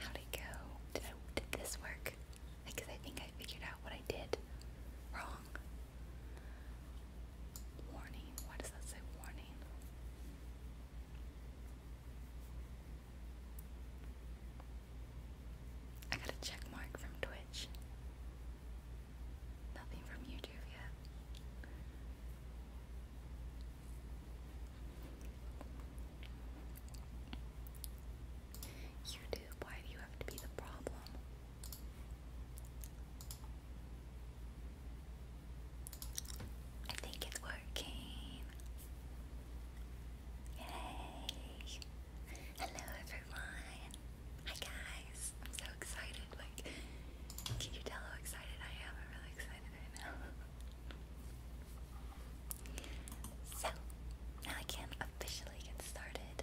How'd it go? Did, I, this work? Because I think I figured out what I did wrong. Warning. Why does that say warning? I got a check mark from Twitch. Nothing from YouTube yet. You Why do you have to be the problem? I think it's working. Yay! Hello, everyone. Hi, guys. I'm so excited. Like, can you tell excited I am? I'm really excited right now. So, now I can officially get started.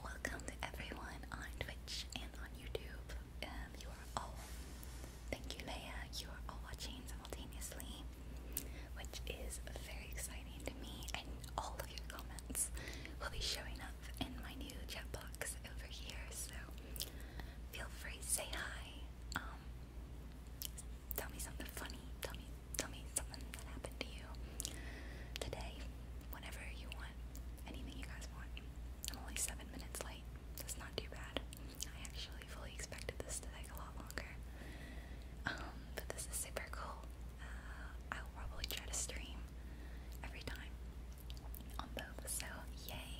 Welcome to everyone on Twitch and on YouTube. Um, you are all, thank you, Leia. You are all watching simultaneously, which is very exciting to me. And all of your comments will be showing up in my new chat box over here. So, Feel free, say hi. Um, tell me something funny. Tell me, tell me something that happened to you today. Whenever you want, anything you guys want. I'm only seven minutes late. That's not too bad. I actually fully expected this to take a lot longer. Um, but this is super cool. Uh, I'll probably try to stream every time on both. So yay!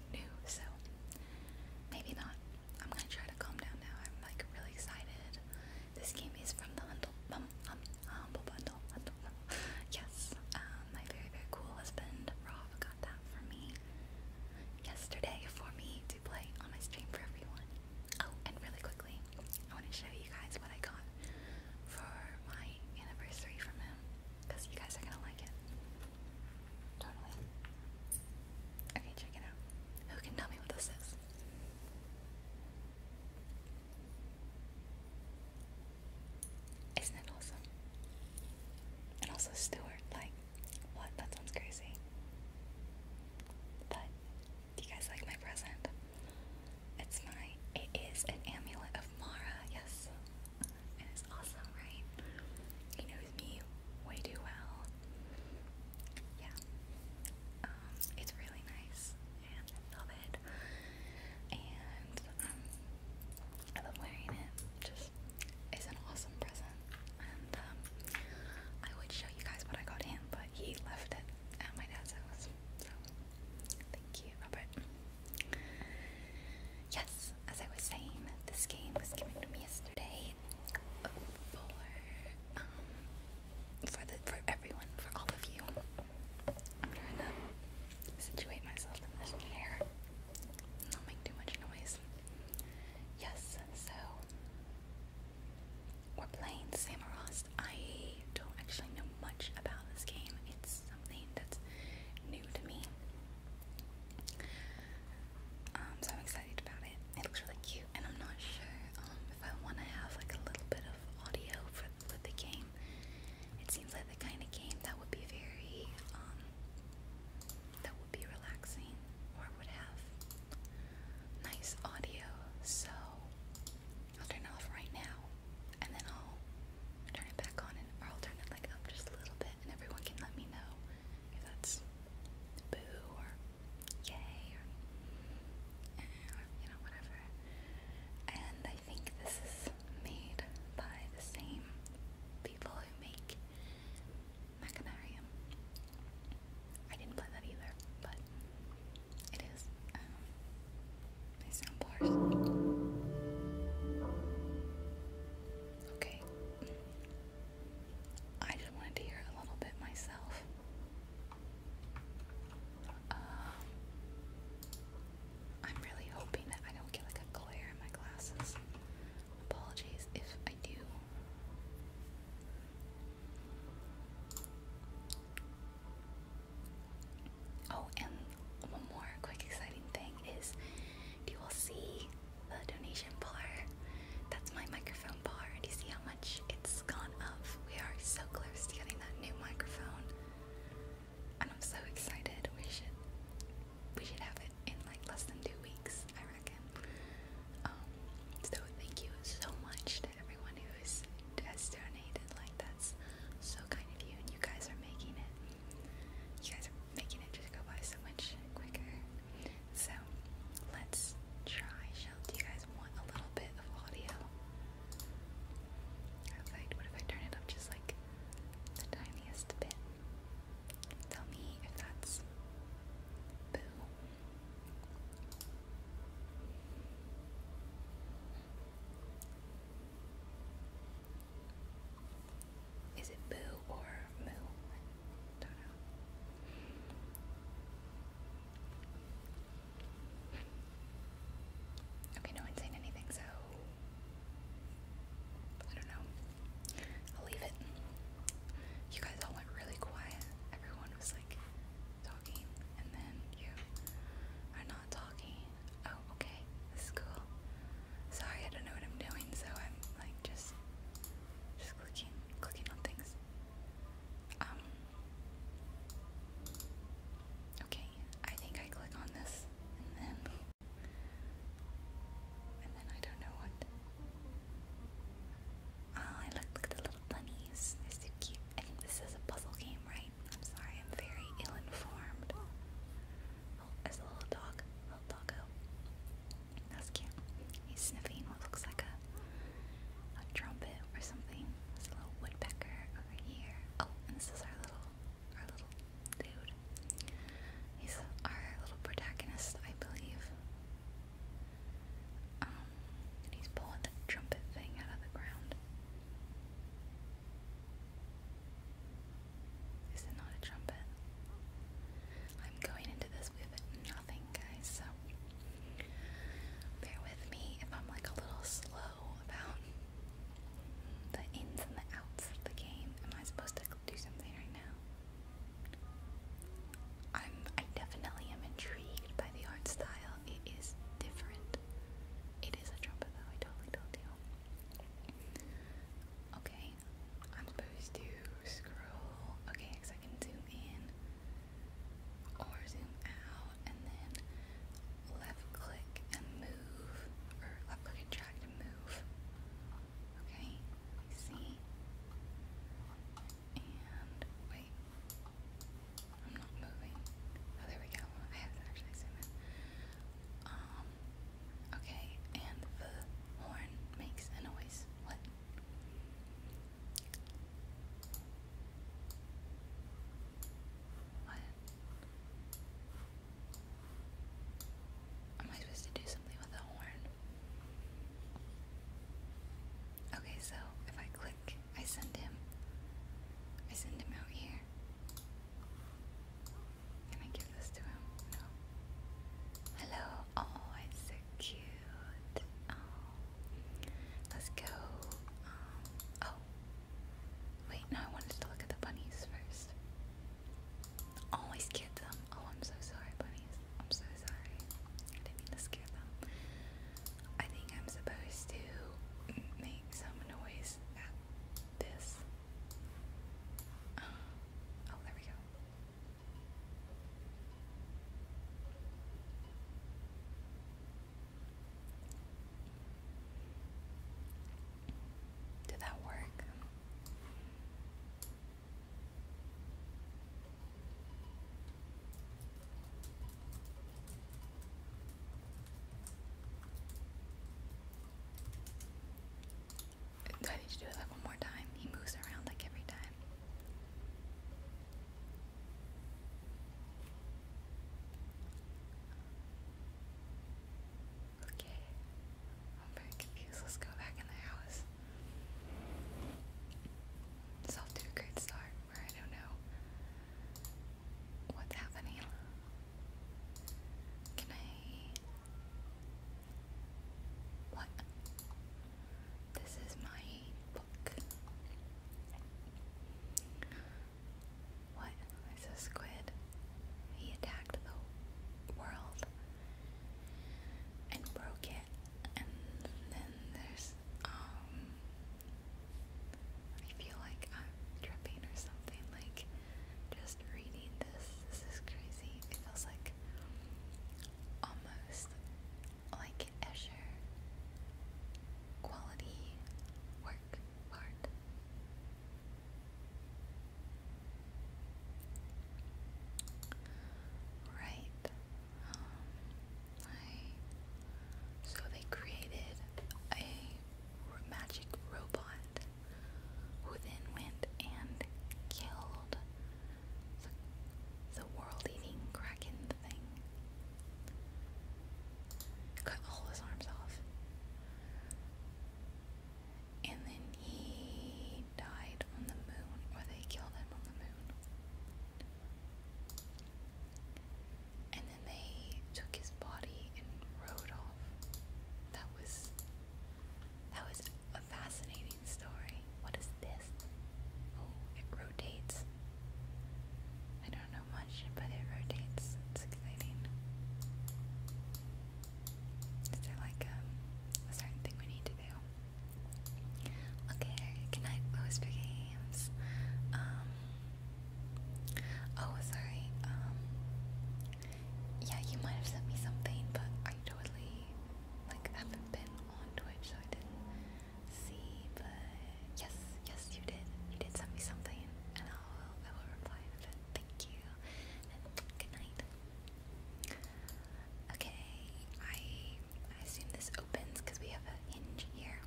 new, so maybe not. I'm gonna try to calm down now. I'm like really excited. This game is from the um, um, Humble, um, Bundle. yes, my very, very cool husband, Rob, got that for me yesterday for me to play on my stream for everyone. Oh, and really quickly, I want to show you guys what I got for my anniversary from him because you guys are gonna like it. Totally. Okay, check it out. Who can tell me what this is? Isn't it awesome? And also Stewart, like, what? That sounds crazy. But do you guys like my present? It's my it is an amulet of Mara, yes it's awesome, right? He knows me way too well. Yeah. Um, it's really nice and I love it. And um, I love wearing it. Just it's an awesome present. And um I would show you guys what I got him, but he left it at my dad's house. So thank you, Robert. Yes, as I was saying, this game was given to me yesterday for um for the for everyone, for all of you. I'm trying to situate myself in Not make too much noise. Yes, so we're playing Samorost. I don't actually know much about this game. It's something that's new to me. Um, so I'm excited about it. It looks really cute, and I'm not sure um, if I want to have like a little bit of audio for the game. It seems like the kind of game that would be very, um, that would be relaxing, or would have nice audio. So I'll turn it off right now, and then I'll turn it back on, and I'll turn it like up just a little bit, and everyone can let me know if that's boo or yay eh, or, you know whatever. And I think this is made by the same people who make Machinarium. I didn't play that either, but it is. Um, Okay. I just wanted to hear a little bit myself. Um, I'm really hoping that I don't get like a glare in my glasses. Apologies if I do. Oh, and one more quick exciting thing is you will see the donation bar. That's my microphone bar. Do you see how much it's gone up? We are so close to getting that new microphone. And I'm so excited. We should we should have it in like less than two weeks, I reckon. Um, so thank you so much to everyone who has donated. Like that's so kind of you and you guys are making it you guys are making it just go by so much quicker. So let's try. do you guys want a little bit of audio? What if I turn it up just like the tiniest bit? Tell me if that's boo. Is it boo or moo? don't know. Okay, no one's saying anything, so I don't know. I'll leave it. You guys all went really quiet. Everyone was like talking, and then you are not talking. Oh, okay. This cool. Sorry, I don't know what I'm doing, so I'm like just just clicking clicking on things. Um Okay, I think I click on this and then and then I don't know what Oh, I look like the little bunnies. They're so cute. I think this is a puzzle game, right? I'm sorry, I'm very ill-informed. Oh, a little dog. Little doggo. That's cute. He's sniffing what looks like a, a trumpet or something. There's little woodpecker over here. Oh, and this is our little our little dude. He's our little protagonist, I believe. Um, and he's pulling the trumpet thing out of the ground. Is it not a trumpet? I'm going into this with nothing, guys, so bear with me if I'm like a little slow about the ins and the outs of the game. Am I supposed to do something right now? I'm I definitely am intrigued by the art style. It is different. It is a trumpet though, I totally told you. Okay, I'm supposed to scroll. Okay, because I can zoom in or zoom out, and then left click and move, or left click and drag to move. Okay, let me see. And wait, I'm not moving. Oh, there we go. I have to actually zoom in. Um, Okay, and the horn makes a noise. What? What? Am I supposed to do something with the horn? Okay, so if I click, I send him. I send him out here. Can I give this to him? No. Hello. Oh, it's so cute. Oh. Let's go. Um, oh. Wait, no, I wanted to look at the bunnies first. Oh, I them. Oh, I'm so sorry, bunnies. I'm so sorry. I mean to scare them. I think I'm supposed to make some noise at this. Oh, there we go. Did that work? Do I need to do it like one more time? He moves around like every time. Okay. I'm very confused. Let's go back in the house. It's off to a great start where I don't know what's happening. Can I. What? This is my book. What? It's a squid. He attacked the world and broke it. And then there's, um, I feel like I'm tripping or something. Like, just reading this. This is crazy. It feels like almost like Escher quality work art. Right. Um, so they created a magic robot who then went and killed the, the world eating kraken thing. Cut all his arms off. And then he died on the moon, or they killed him on the moon. And then they took his body and rode off. That was that was a fascinating story. What is this? Oh, it rotates. I don't know much, but it rotates. It's exciting. Is there like um, a certain thing we need to do? Okay, good night, Louis Um, oh, sorry. Um, yeah, you might have sent me something, but I totally like haven't been on Twitch, so I didn't see. But yes, yes, you did. You did send me something, and I will I will reply in a Thank you, and good night. Okay, I I assume this opens because we have a hinge here.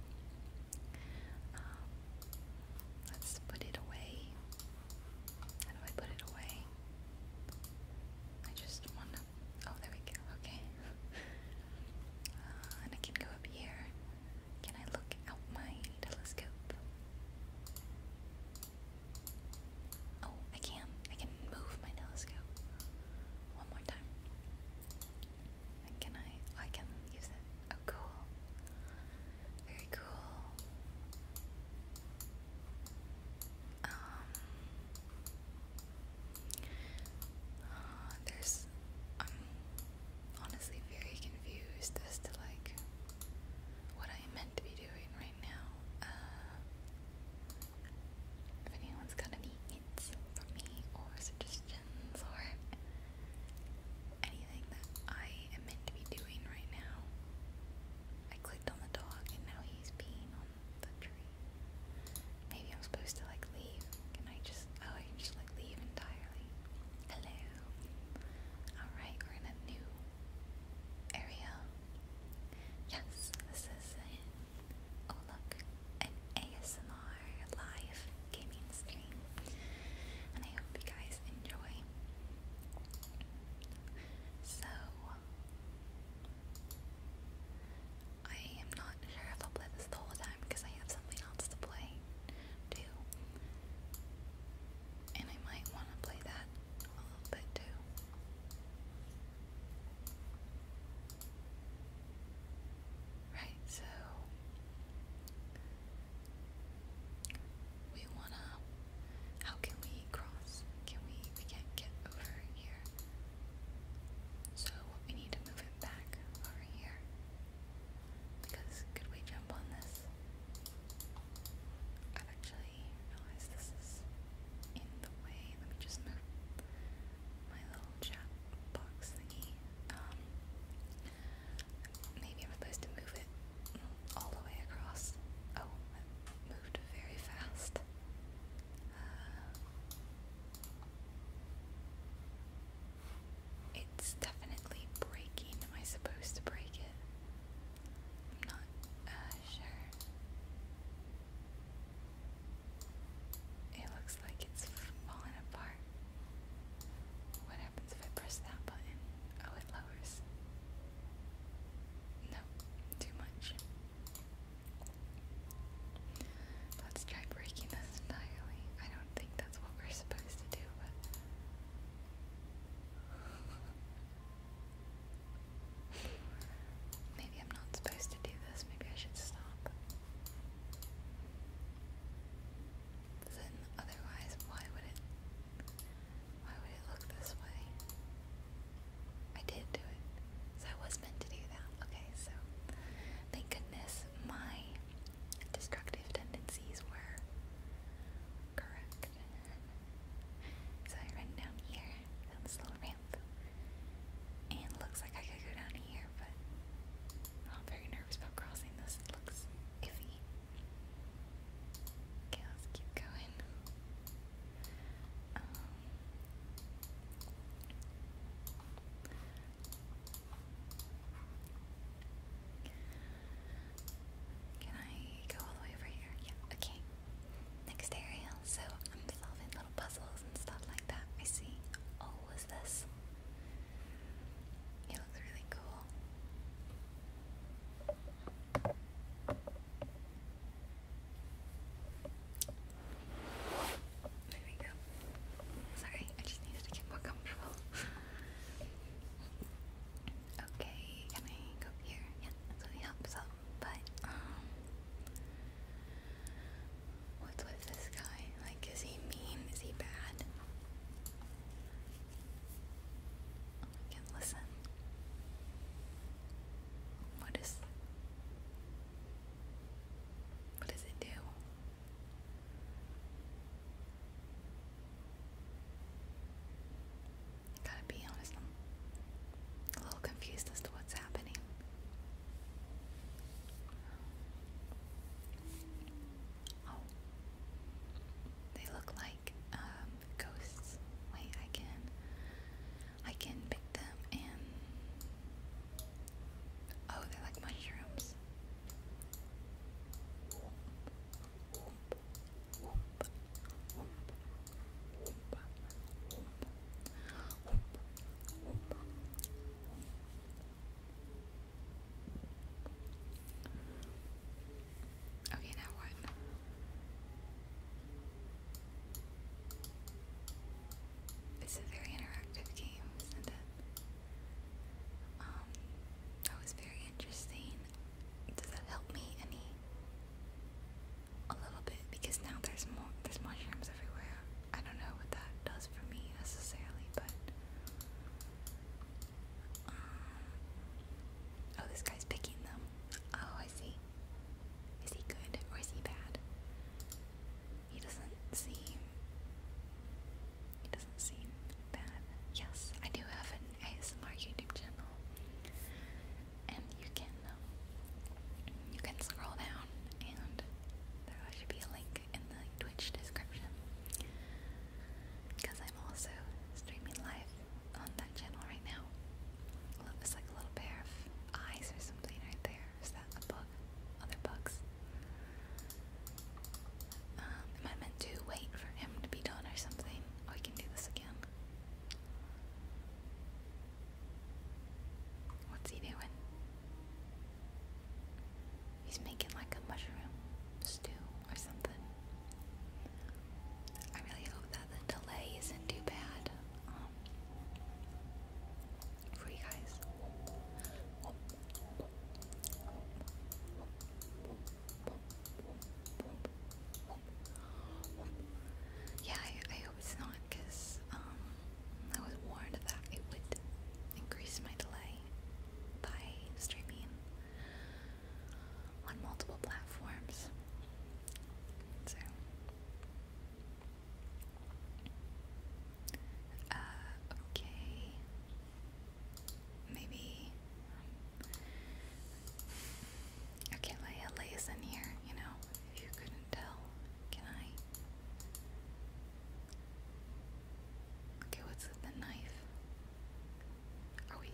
Um, let's put it away. How do I put it away? I just want to. Oh, there we go. Okay. Uh, and I can go up here. Can I look out my telescope? Oh, I can. I can move my telescope. One more time. can I? Oh, I can use it. Oh, cool. Very cool. Um, uh, there's, I'm honestly very confused as to like what I am meant to be doing right now. Uh, if anyone's got any hints for me or suggestions or anything that I am meant to be doing right now. I clicked on the dog and now he's peeing on the tree. Maybe I'm supposed to like leave. and I just, oh, I can just like leave entirely. Hello. Alright, we're in a new area. Yes, this is it. Oh, an ASMR live gaming stream. And I hope you guys enjoy. So I am not sure if I'll play this the whole time because I have something else to play too. And I might want to play that a little bit too. Right, so we wanna how can we cross? Can we we can't get over here. So we need to move it back over here. Because could we jump on this? I've actually realized this in the way. Let me just move my little chat box um, maybe I'm supposed to move it all the way across. Oh, moved very fast. Uh, it's definitely breaking. Am I supposed to break it? not uh, sure. It looks like it's falling apart. What happens if I press that button? Oh, it lowers. No, too much. Let's try breaking this entirely. I don't think that's what we're supposed to do, Maybe I'm not supposed to do this. Maybe I should stop. Then, otherwise, why would it why would it look this way? I did do it. So I was meant to do that. Okay, so thank goodness my destructive tendencies were correct. So I run down here, down little ramp. And looks like I could go down here, but I'm very nervous about crossing this. It looks iffy. Okay, let's keep going. Um, can I go all the way over here? Yeah, okay. Next area. So I'm solving little puzzles and stuff like that. I see. Oh, was this? It looks really cool. Sorry, I just needed to get more comfortable. okay, can I go here? Yeah, that's what really But, um, what's with this guy? Like, is he mean? Is he bad? I can listen. What is what does it do? Gotta be honest, am a little confused as to what's happening. Oh, they look like like um, ghosts. Wait, I can, I can pick them and oh, they're like mushrooms. Okay, now what? It's a very interactive game, is it? Um, that was very interesting. Does that help me any? A little bit, because now there's more. There's mushrooms everywhere. I don't know what that does for me necessarily, but. Um, oh, this guy's picking them. Oh, Oh, I see. Is he good or is he bad? He doesn't seem. He doesn't seem bad. Yes, I do have an ASMR YouTube channel, and you can um, you can scroll down, and there should be a link in the Twitch description. Because I'm also streaming live on that channel right now. Look, there's like little pair of eyes or something right there. Is that a bug? Other bugs? Um, am I meant to wait for him to be done or something? Oh, can do this again. What's he doing? He's making like a mushroom stew or something. I really hope that the delay isn't too bad um, for you guys. Yeah, I, I hope it's not because um, I was warned that it would increase my delay by streaming on multiple platforms. So, uh, okay, maybe. Okay, Leia, Leia's in here, you know, if you couldn't tell. Can I? Okay, what's with the knife? Are we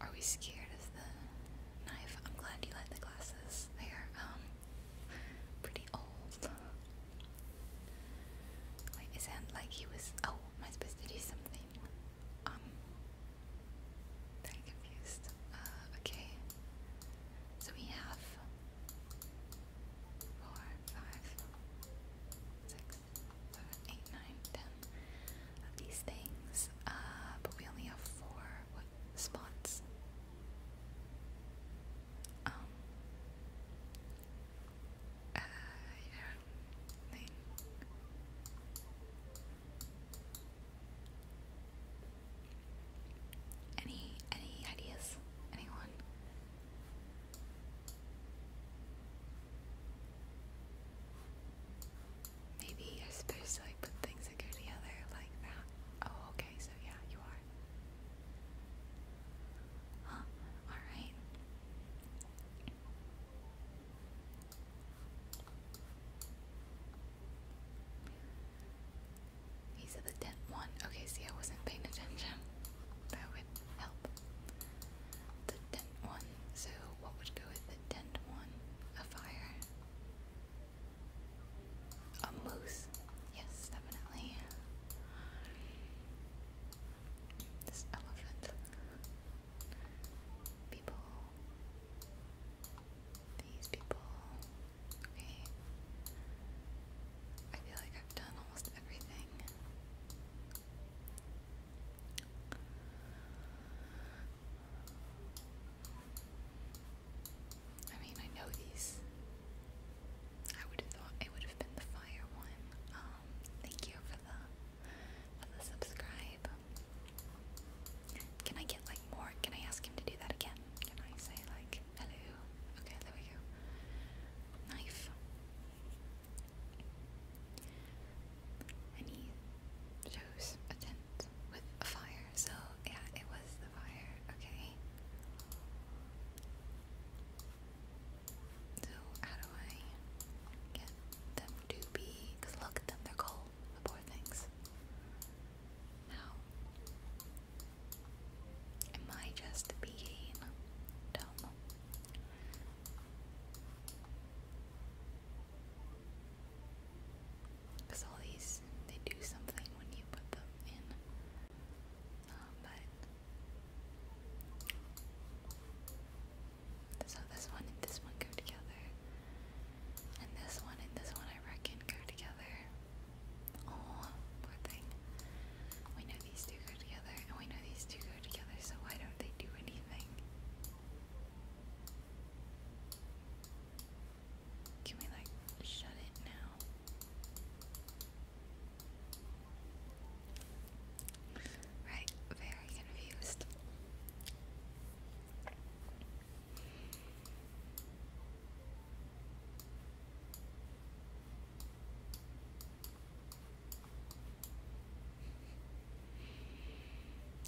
are we scared of the knife. I'm glad you like the glasses. They are um pretty old. Wait, it sounded like he was oh, am I supposed to do something? Um very confused. Uh, okay. So we have four, five, six, seven, eight, nine, ten of these things, uh, but we only have four spots. Um, uh, yeah, any any ideas? Anyone? Maybe you're supposed to like put things that go together like that. Oh, okay, so yeah, you are. alright. He said the tent one. Okay, see, I wasn't paying attention. That would help. The tent one so, what would go with the tent one? A fire. A moose. Yes, definitely. This elephant. People. These people. Okay. I feel like I've done almost everything. I mean, I know these. I would have thought it would have been the fire one. Um, thank you for the for the subscribe. Can I get like more? Can I ask him to do that again? Can I say like hello? Okay, there we go. Knife. Any shows with fire, so yeah, it was the fire, okay? So, how do I get them to be. Because look at them, they're cold, the poor things. How? Am I just being dumb? Cause all these, they do something when you put them in. Um, but so uh, this one and this one go together, and this one and this one I reckon go together. Oh, poor thing. We know these two go together, and we know these two go together. So why don't they do anything? Can we like shut it now? Right, very confused.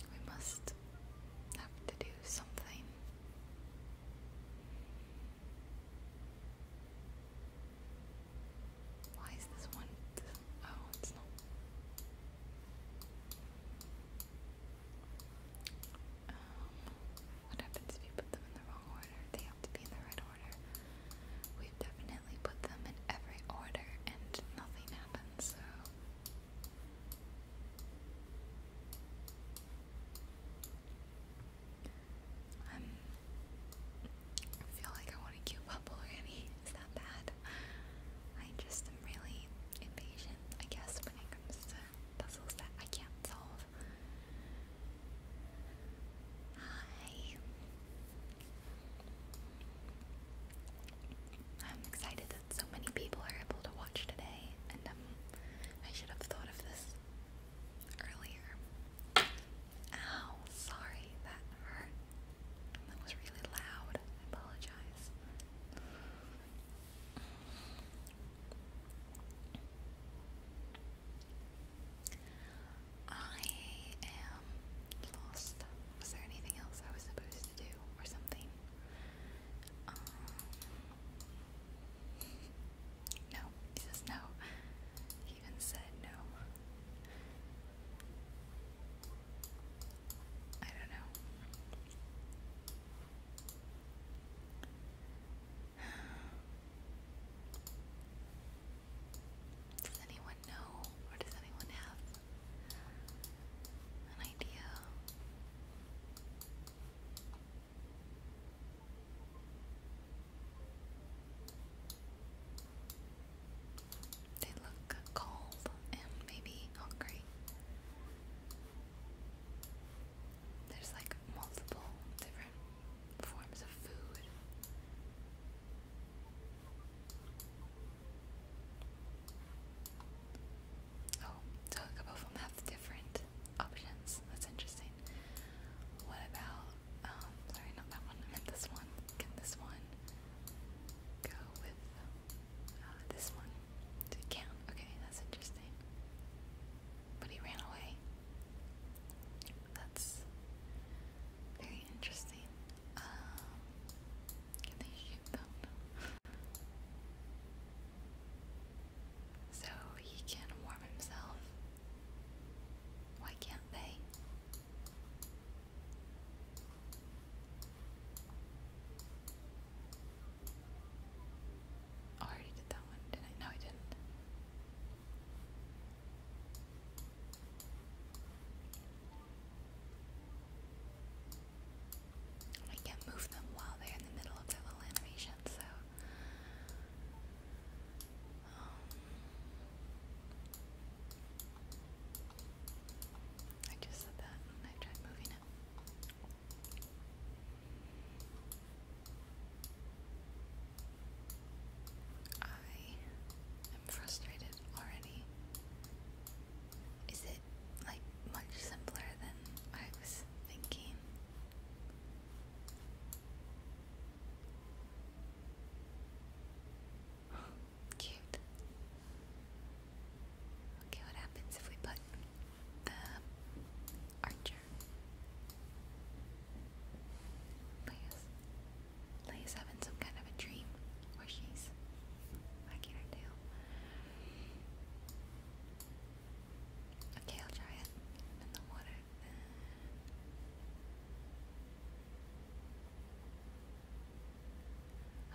We must have to do something. Why is this one? Oh, it's not. Um, what happens if you put them in the wrong order? They have to be in the right order. We've definitely put them in every order and nothing happens, so um, I feel like I want to cue up already. Is that bad? I just am really impatient, I guess, when it comes to puzzles that I can't solve. Hi. I'm excited so many people are able to watch today, and um, I should have thought of this earlier. Ow, sorry, that hurt. That was really loud. I apologize. I am lost. Was there anything else I was supposed do or something. Um, no, he says no. He even said no. I don't know. Does anyone know or does anyone have an idea. They look cold and maybe hungry. There's like multiple different forms of food. Oh, so a couple of them have different options. That's interesting. What about, um, sorry, not that one, this one. Can this one go with uh, this one? It can. Okay, that's interesting. But he ran away. That's very interesting. Um, can they shoot them? so he can warm himself. Why can't they? Oh, I already did that one, didn't I? No, I didn't. I can't move them while they're in the middle of their little animation, so. Um, I just said that and I tried moving it. I am frustrated already is it like much simpler than I was thinking? Cute. Okay, what happens if we put the archer? Leia's, Leia's having some kind of a dream where she's wagging her tail. Okay, I'll try it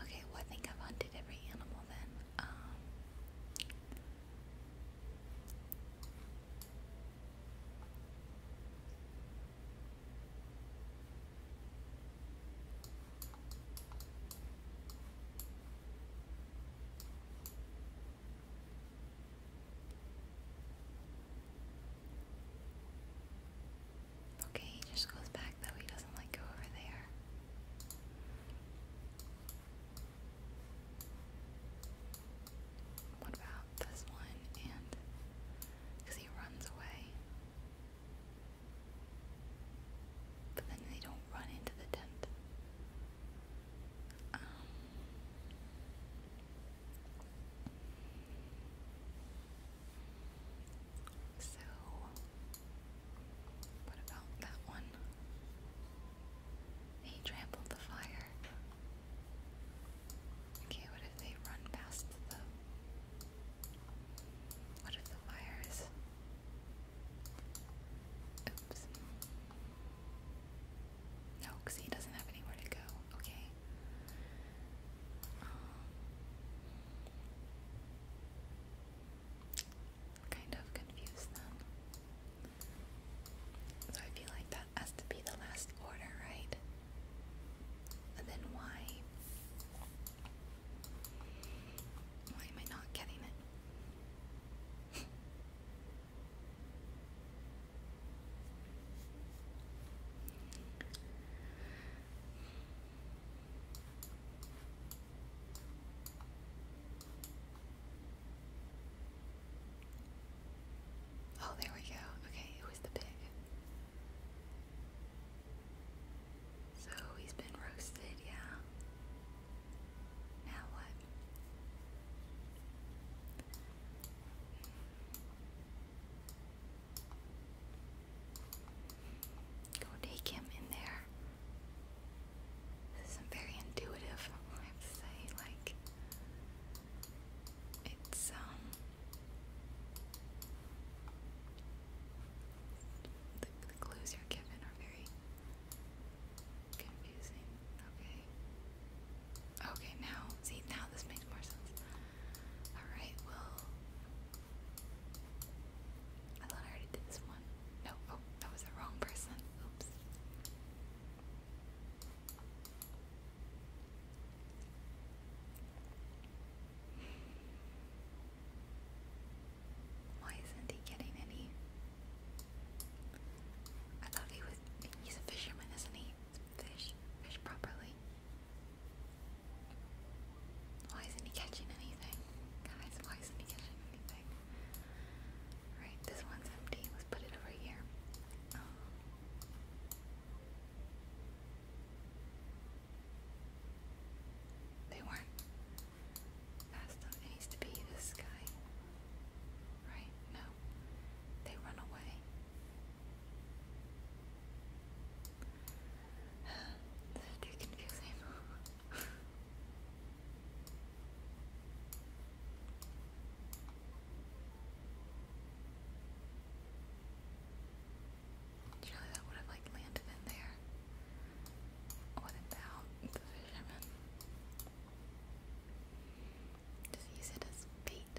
Okay, well I think I've hunted every animal then. Um, Okay, he just goes back though, he doesn't like go over there. What about this one? And because he runs away. But then they don't run into the tent. Um, so, what about that one? He trampled the fire. Okay, what if they run past the what if the wire Oops. No, because he doesn't have anywhere to go. Okay. Um, kind of confused them. So I feel like that has to be the last order, right? And then why? Why am I not getting it? Oh, there we go. Okay, it the pig. So he's been roasted, yeah. Now what? Go take him in there. This is very intuitive, I have to say. Like, it's, um, the, clues you're given are very confusing. Okay. Okay, now, see, now this makes more sense. Alright, well. I thought I already did this one. No, oh, that was the wrong person. Oops. Why isn't he getting any? I thought he was. He's a fisherman, isn't he? Fish. Fish properly. Why isn't he catching anything? Guys, why isn't he catching anything? Alright, this one's empty. Let's put it over here. They weren't fast enough. It needs to be this guy. Right? No. They run away. too confusing. Surely that would have like landed in there. What about the fisherman? Does he use it as bait?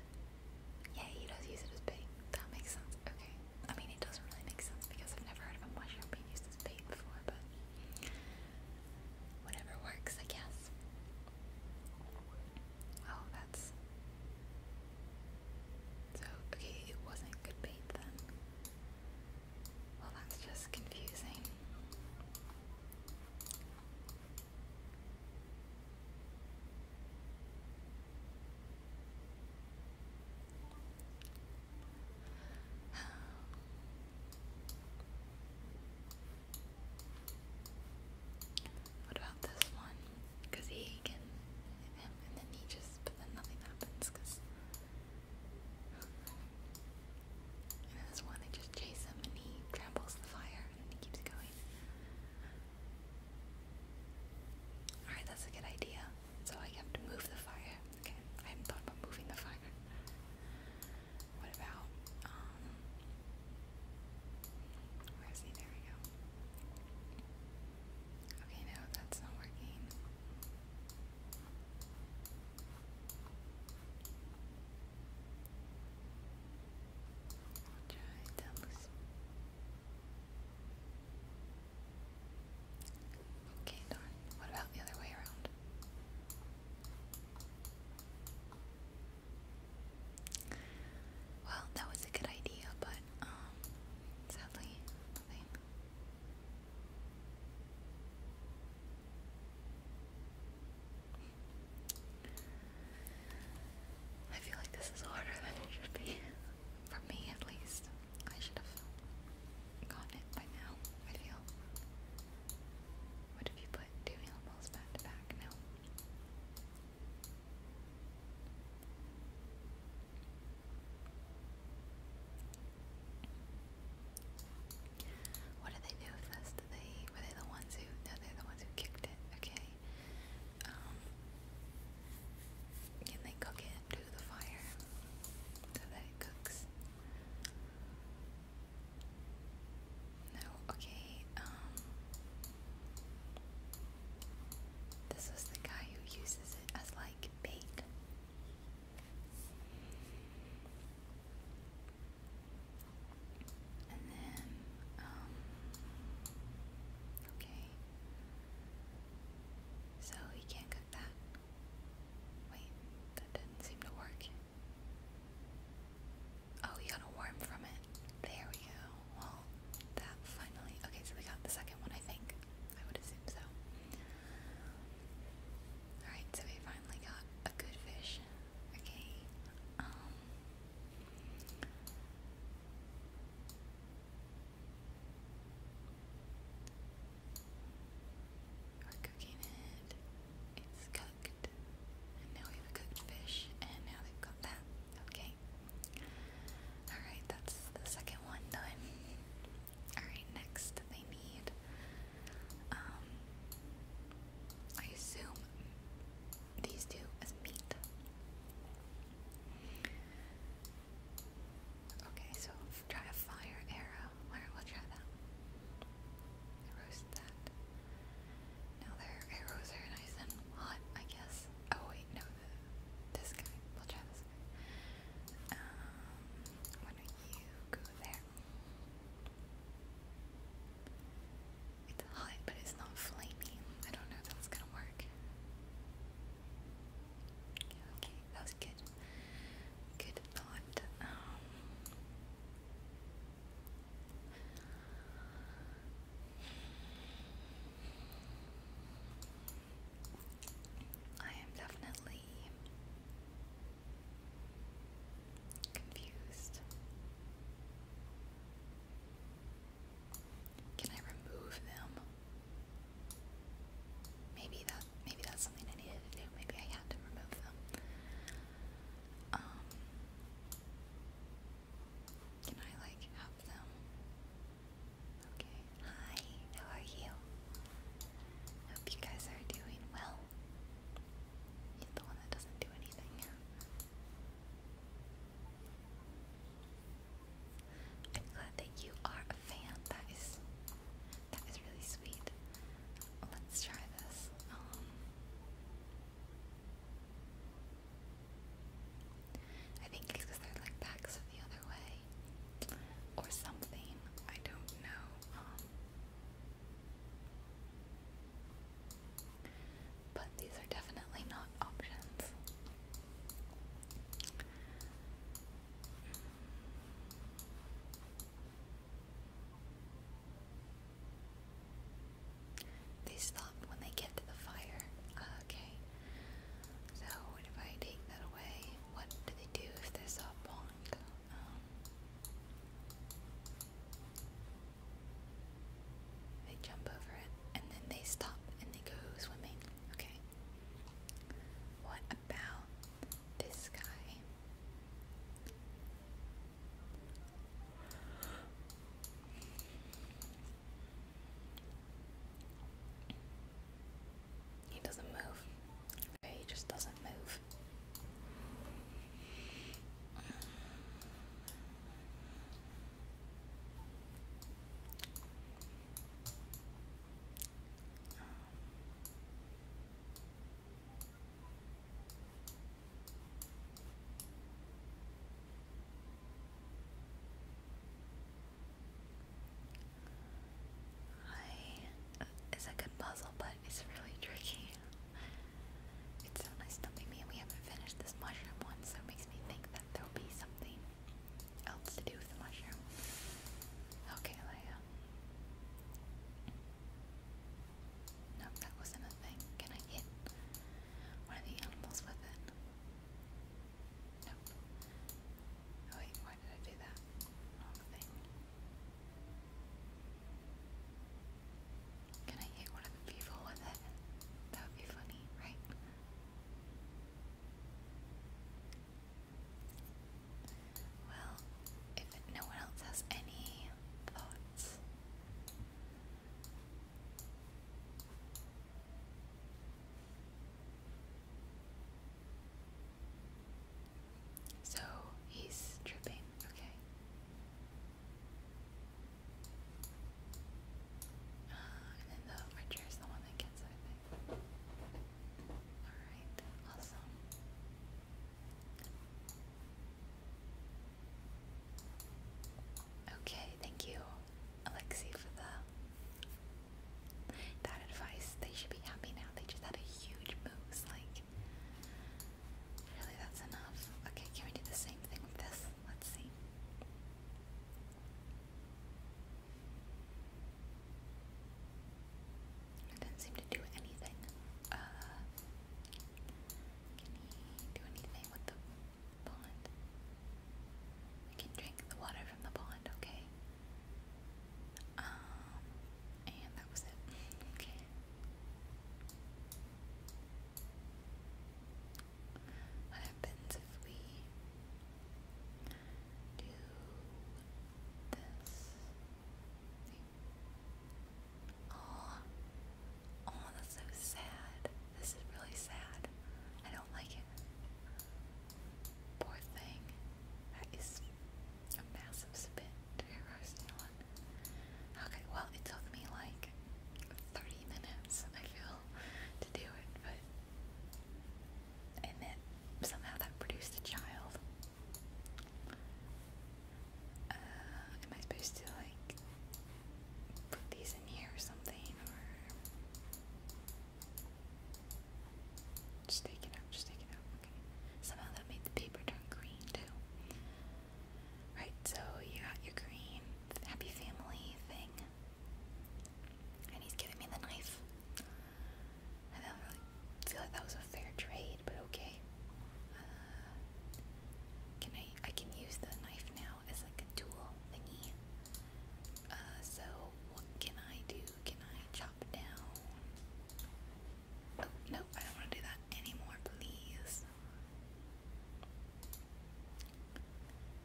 Yeah, he does use it as bait. That makes sense. Okay. I mean, it doesn't really make sense because I've never heard of a mushroom being used as bait before, but whatever works, I guess. Oh, that's. So, okay, it wasn't good bait then. Well, that's just confusing. What about this one? Because he can and then he just, but then nothing happens and this one, they just chase him and he tramples the fire and he keeps going. Alright, that's a good idea. So I have to move the fire. Okay, I haven't thought about moving the fire. What about, um, where is he? There we go. Okay, no, that's not working. Okay, darn. What about the other way around? Well, that was a good idea, but um, sadly, nothing. I feel like this is harder than it should be. For me, at least. I should have gotten it by now, I feel. What if you put two animals back to back now? What did they do with this? Did they were they the ones who no they're the ones who kicked it, okay. Um, can they cook it into the fire so that it cooks? No, okay, um. this was the guy who uses it as like bait. Um, okay. So we can't cook that. Wait, that didn't seem to work. Oh, we got a worm from it. There we go. Well, that finally. Okay, so we got the second one, I think. I would assume so. Alright, so we finally got a good fish. Okay. Um we're cooking it. It's cooked. And now we have a cooked fish. And now they've got that. Okay. Alright, that's the second one done. Alright, next they need, um, I assume these two as meat. Okay, so try a fire arrow. Alright, we try that. Roast that. Now their arrows are nice and hot, I guess. Oh wait, no, this guy. We'll try this um, why don't you go there? It's hot, but it's not flaming. I don't know if that's gonna work. Okay, that was good. Good thought. Um, I am definitely confused. Can I remove them? Maybe that maybe that's something I needed to do. Maybe I had to remove them. Um Can I like have them Okay, hi, how are you? Hope you guys are doing well. You're the one that doesn't do anything. I'm glad that you are a fan. That is that is really sweet. Let's try this. Um, I think it's because their like backs the other way or something. I don't know. Um, but these are definitely not options. They stop when they get to the fire. Uh, okay. So if I take that away? What do they do if there's a bonk? Um, they jump over it and then they stop and they go swimming. Okay. What about this guy? He doesn't move. Okay, he just doesn't move. I, it's a good puzzle, but it's really tricky. It's so nice stumping me, we haven't finished this mushroom one, so it makes me think that there'll be something else to do with the mushroom. Okay, No, that wasn't a thing. Can I hit one of the animals with it? Nope. Oh, wait, why did I do that? Wrong thing. Can I hit one of the people with it? That would be funny, right? Well, if no one else has any thoughts. So he's tripping, okay. Uh, and then the archer is the one that gets it, Alright, awesome. Okay, thank you, Alexi, for the that advice. They should be happy now. They just had a huge move. Like, really, that's enough. Okay, can we do the same thing with this? Let's see. It didn't seem to do anything. Uh, can he do anything with the pond? We can drink the water from the pond, okay. Um, and that was it. Okay. What happens if we do this? Oh, oh, that's so sad. This is really sad. I don't like it. Poor thing. That is a massive spit to your roast one. Okay, well, it took me like 30 minutes, I feel, to do it, but. And then somehow that produced a child. Uh, am I supposed to, like, put these in here or something? Or. Just take it out, just take it out. Okay. Somehow that made the paper turn green too. Right, so you got your green happy family thing. And he's giving me the knife. I don't really feel like that was a fair trade, but okay. Uh, can I I can use the knife now as like a tool thingy. Uh so what can I do? Can I chop down? Oh, no, I don't want to do that anymore, please.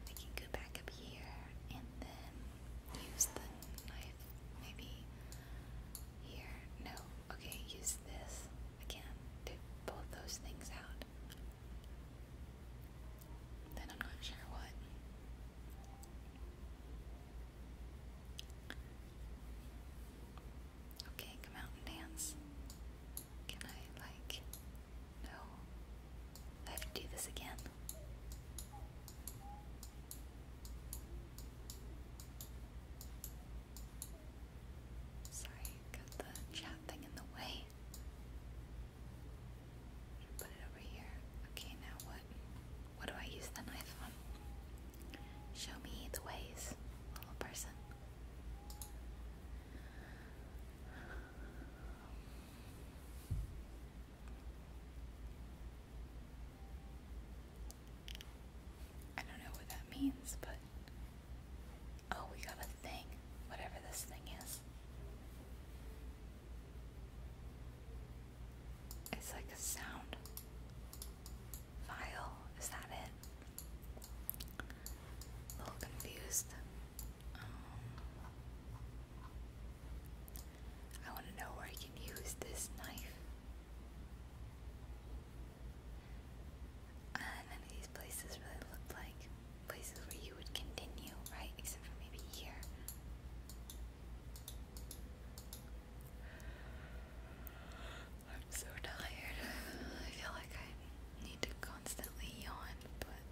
I can go back up here and then use the knife, maybe here. No, okay, use this again to pull those things out. Then I'm not sure what. Okay, come out and dance. Can I, like, no? I have to do this again. Sorry, got the chat thing in the way. Put it over here. Okay, now what? What do I use the knife on? Show me the ways, little person. I don't know what that means, but. Oh, we got a thing. Whatever this thing is. It's like a sound file. Is that it? A little confused. Um, I want to know where I can use this knife. Uh, none of these places really looked like places where you would continue, right? Except for maybe here. I'm so tired. I feel like I need to constantly yawn, but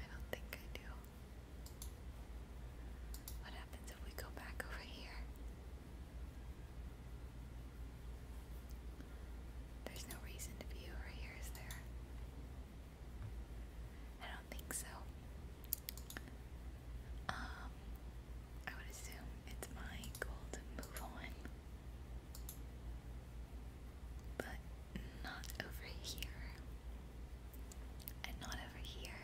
I don't think I do. What happens if we go back over here? There's no reason to be over here, is there? I don't think so. Um, I would assume it's my goal to move on. But not over here. And not over here.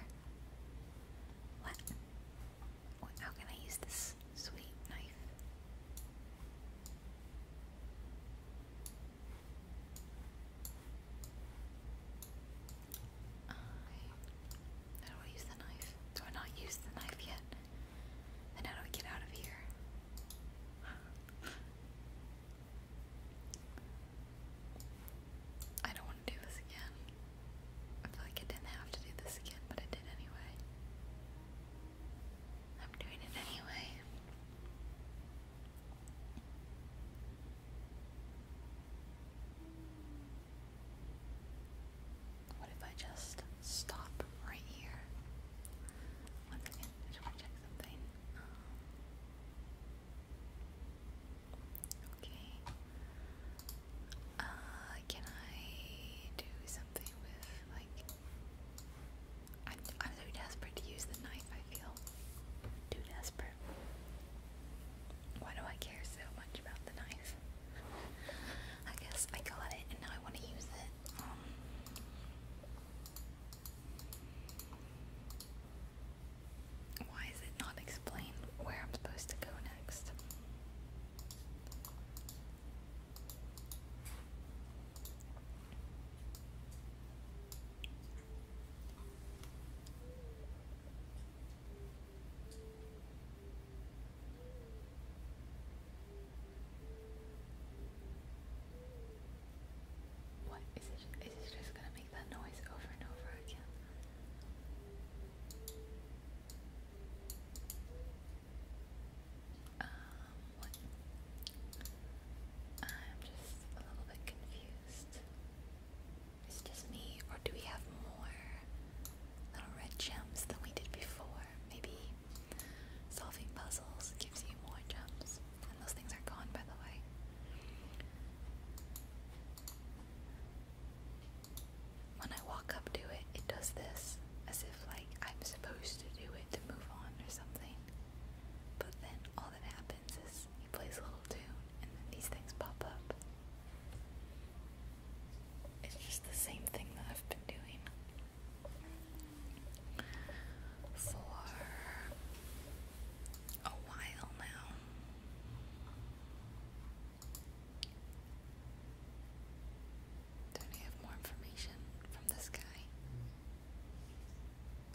What? How can I use this sweet knife? I, do I use the knife? Do I not use the knife yet? Then how do I get out of here? I don't want to do this again. I feel like I didn't have to do this again, but I did anyway. I'm doing it anyway. What if I just stop right here? One second, I just to check something. Um, okay. Uh, can I do something with, like... I'm, I'm so desperate to use the knife, I feel. Too desperate. Why do I care so much about the knife? I guess I got it and now I want to use it. Um, why is it not explained where I'm supposed to go next? What is it? Is it just gonna make that noise over and over again? Um, I'm just a little bit confused. Is just me, or do we have more little red gems than we did before? Maybe solving puzzles gives you more gems. And those things are gone, by the way. When I walk up to it, it does this as if, like, I'm supposed to do it to move on or something. But then all that happens is he plays a little tune, and then these things pop up. It's just the same thing that I've been doing for a while now. Don't have more information from this guy?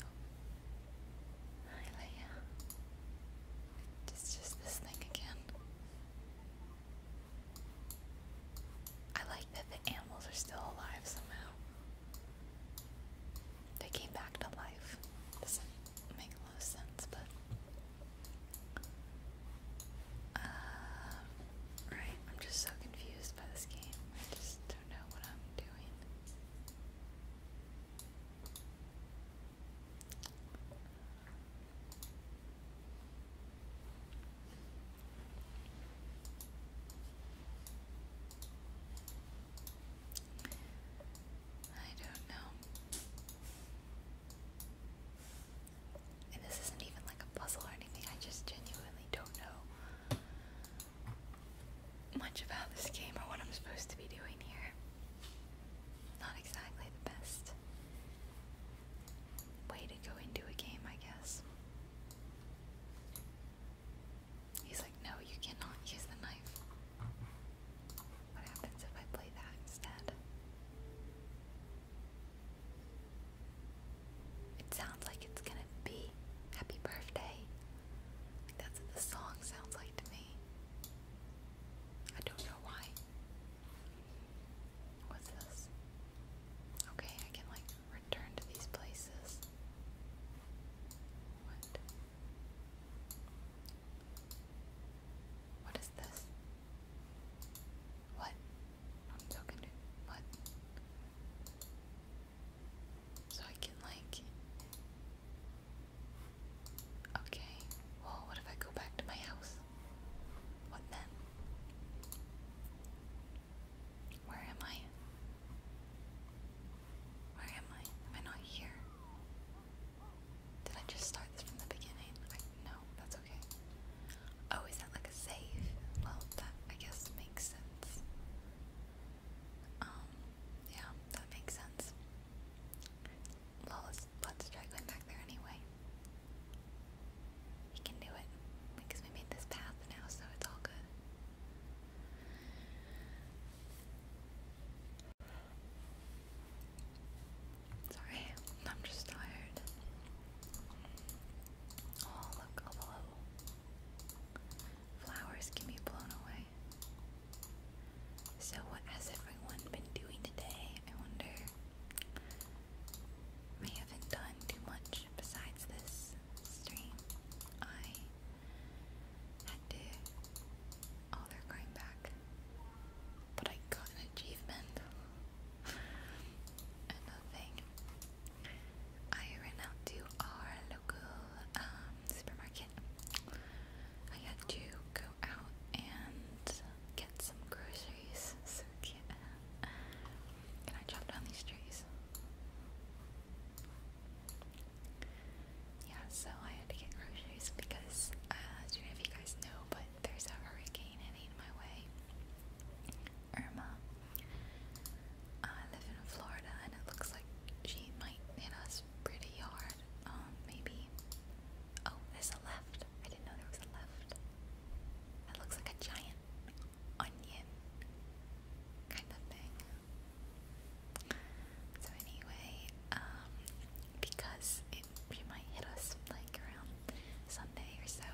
Oh. Hi, Leia. It's just this thing again. I like that the animals are still alive somehow. They came back to life. Doesn't make a lot of sense, but. Uh, right, I'm just so confused by this game. I just don't know what I'm doing. I don't know. And this isn't even like a puzzle or anything, I just genuinely don't know much about this game or what I'm supposed to be doing here. Not exactly the best way to go into a game, I guess. He's like, no, you cannot use the knife. What happens if I play that instead? It sounds like it's gonna be Happy Birthday. That's what the song sounds like to me. I don't know why. What's this? Okay, I can like return to these places. What? What is this? What? I'm talking to what? So I can like Okay, well, what if I go back to my house? What then? Where am I? Where am I? Am I not here? Did I just start this from the beginning? I, no, that's okay. Oh, is that like a save? Well, that I guess makes sense. Um, yeah, that makes sense. Well, let's, try going back there anyway. We can do it because we made this path now, so it's all good. Sorry, I'm just tired. Oh, look, a little. Flowers can be blown away. So, what has everyone been doing today? I wonder. I haven't done too much besides this stream. I had to. Oh, they're going back. But I got an achievement. Another thing. I ran out to our local um, supermarket. I had to go out and get some groceries. So cute. Can I chop down these trees? Yeah, so I had to get groceries because uh, I don't know if you guys know, but there's a hurricane heading my way. Irma. I live in Florida and it looks like she might hit us pretty hard. Um, maybe. Oh, there's a left. I didn't know there was a left. That looks like a giant onion kind of thing. So anyway, um, because it she might hit us like around Sunday or so.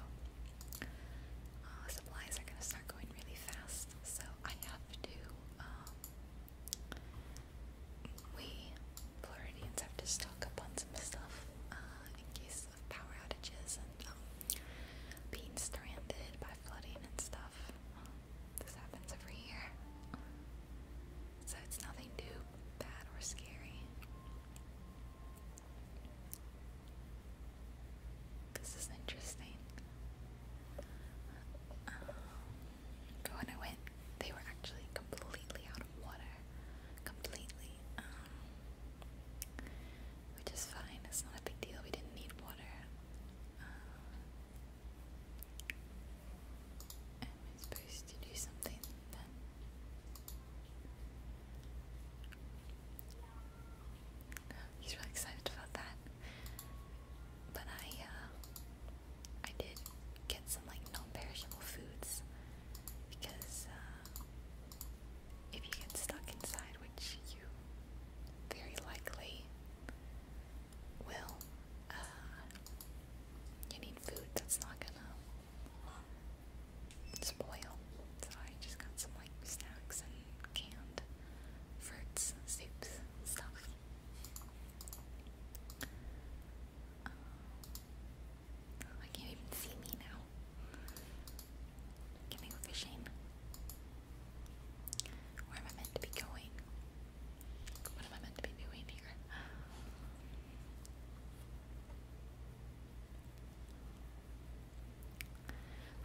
Uh, supplies are gonna start going really fast, so I have to um, we Floridians have to stock up on some stuff uh, in case of power outages and um, being stranded by flooding and stuff. this happens every year. So it's nothing too bad or scary. This is interesting. Um, but when I went, they were actually completely out of water. Completely. Um, which is fine, it's not a big deal. We didn't need water. Um, am I supposed to do something He's really excited about that but I uh, I did get some like non-perishable foods because uh, if you get stuck inside, which you very likely will, uh, you need food that's not gonna spoil. So I just got some like snacks and canned fruits, soups, stuff. I oh, can't even see me now. Can I go fishing? Where am I meant to be going? What am I meant to be doing here?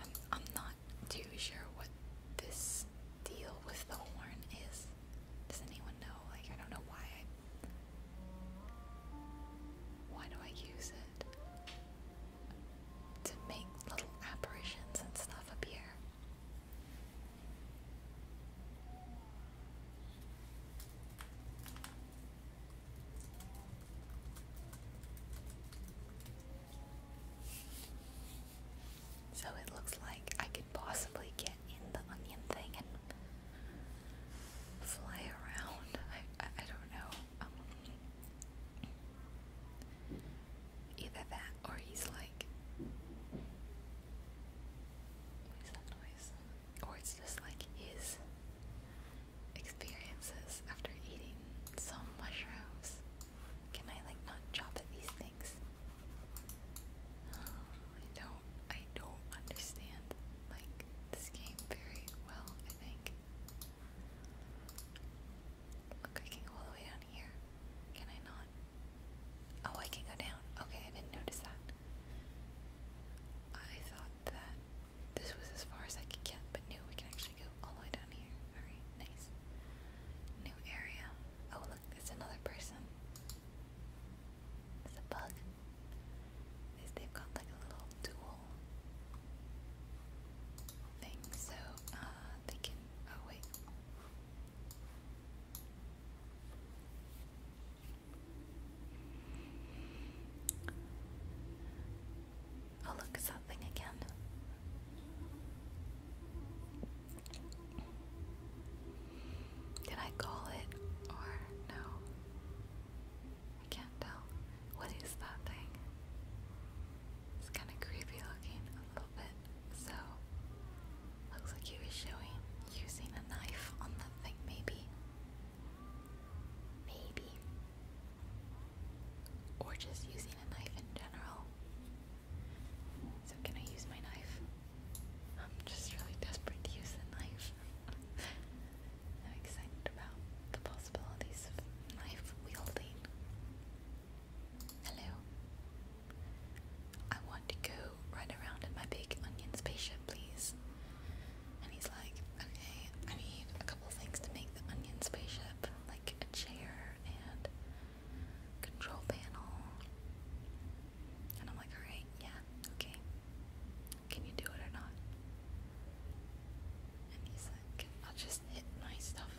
I'm, I'm not too sure what this deal with the horn is. Does anyone know? Like, I don't know why Why do I use it? To make little apparitions and stuff appear. So it looks like I could possibly get in the onion thing and fly around. I, I, I don't know. Um, either that or he's like. What is that noise? Or it's just like his experiences after eating some mushrooms. Can I like not chop at these things? Um, I don't I don't understand like this game very well, I think. Look, I can go all the way down here. Can I not? Oh, I can go down. Okay, I didn't notice that. I thought that this was as far as I could get, but no, we can actually go all the way down here. Alright, nice. New area. Oh, look, it's another person. It's a bug. Is they got like a little dual thing, so uh, they can. Oh wait. Oh look, it's that thing again. Can I call it or no? I can't tell. What is that thing? It's kind of creepy looking a little bit. So, looks like he was showing using a knife on that thing, maybe. Maybe. Or just using a knife in general. So, can I use my knife? I'm just really desperate to use the knife. I'm excited about the possibilities of knife wielding. Hello. I want to go right around in my big onion spaceship, please. And he's like, okay, I need a couple things to make the onion spaceship, like a chair and control panel. And I'm like, alright, yeah, okay. Can you do it or not? And he's like, I'll just hit my stuff.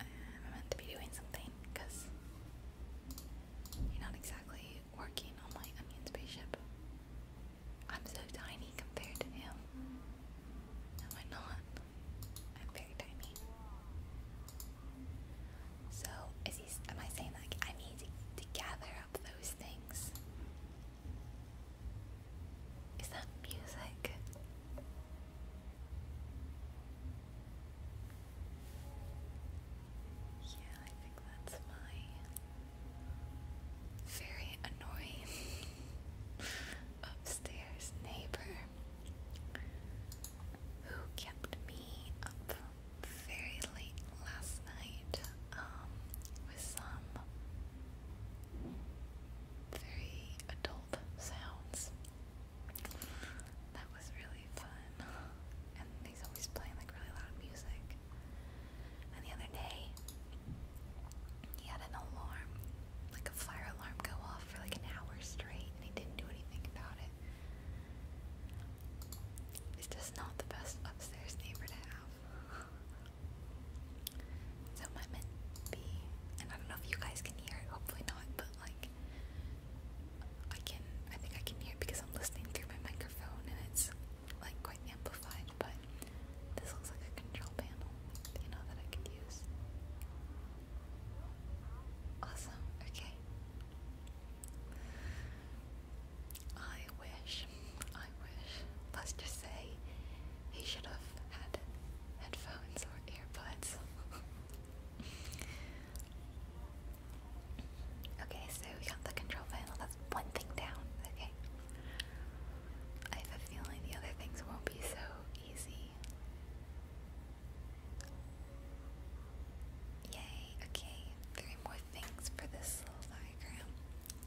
I'm meant to be doing something because you're not exactly working on my onion spaceship. I'm so tiny compared to him. No, I'm not. I'm very tiny. So, is he, am I saying like I need to gather up those things? Is that music? Yeah, I think that's my very annoying upstairs neighbor who kept me up very late last night um, with some very adult sounds. That was really fun. And he's always playing like really loud music. And the other day, he had an alarm, like a fire alarm, go for like an hour straight and he didn't do anything about it. It's just not the best upstairs neighbor to have. So my meant be, I don't know if you guys can hear it, hopefully not, but like I can, I think I can hear because I'm listening through my microphone and it's like quite amplified, but this looks like a control panel, you know, that I could use. Awesome, okay. I wish, I wish, let's just say he should have had headphones or earbuds. okay, so we got the control panel, that's one thing down, okay. I have a feeling the other things won't be so easy. Yay, okay. Three more things for this little diagram.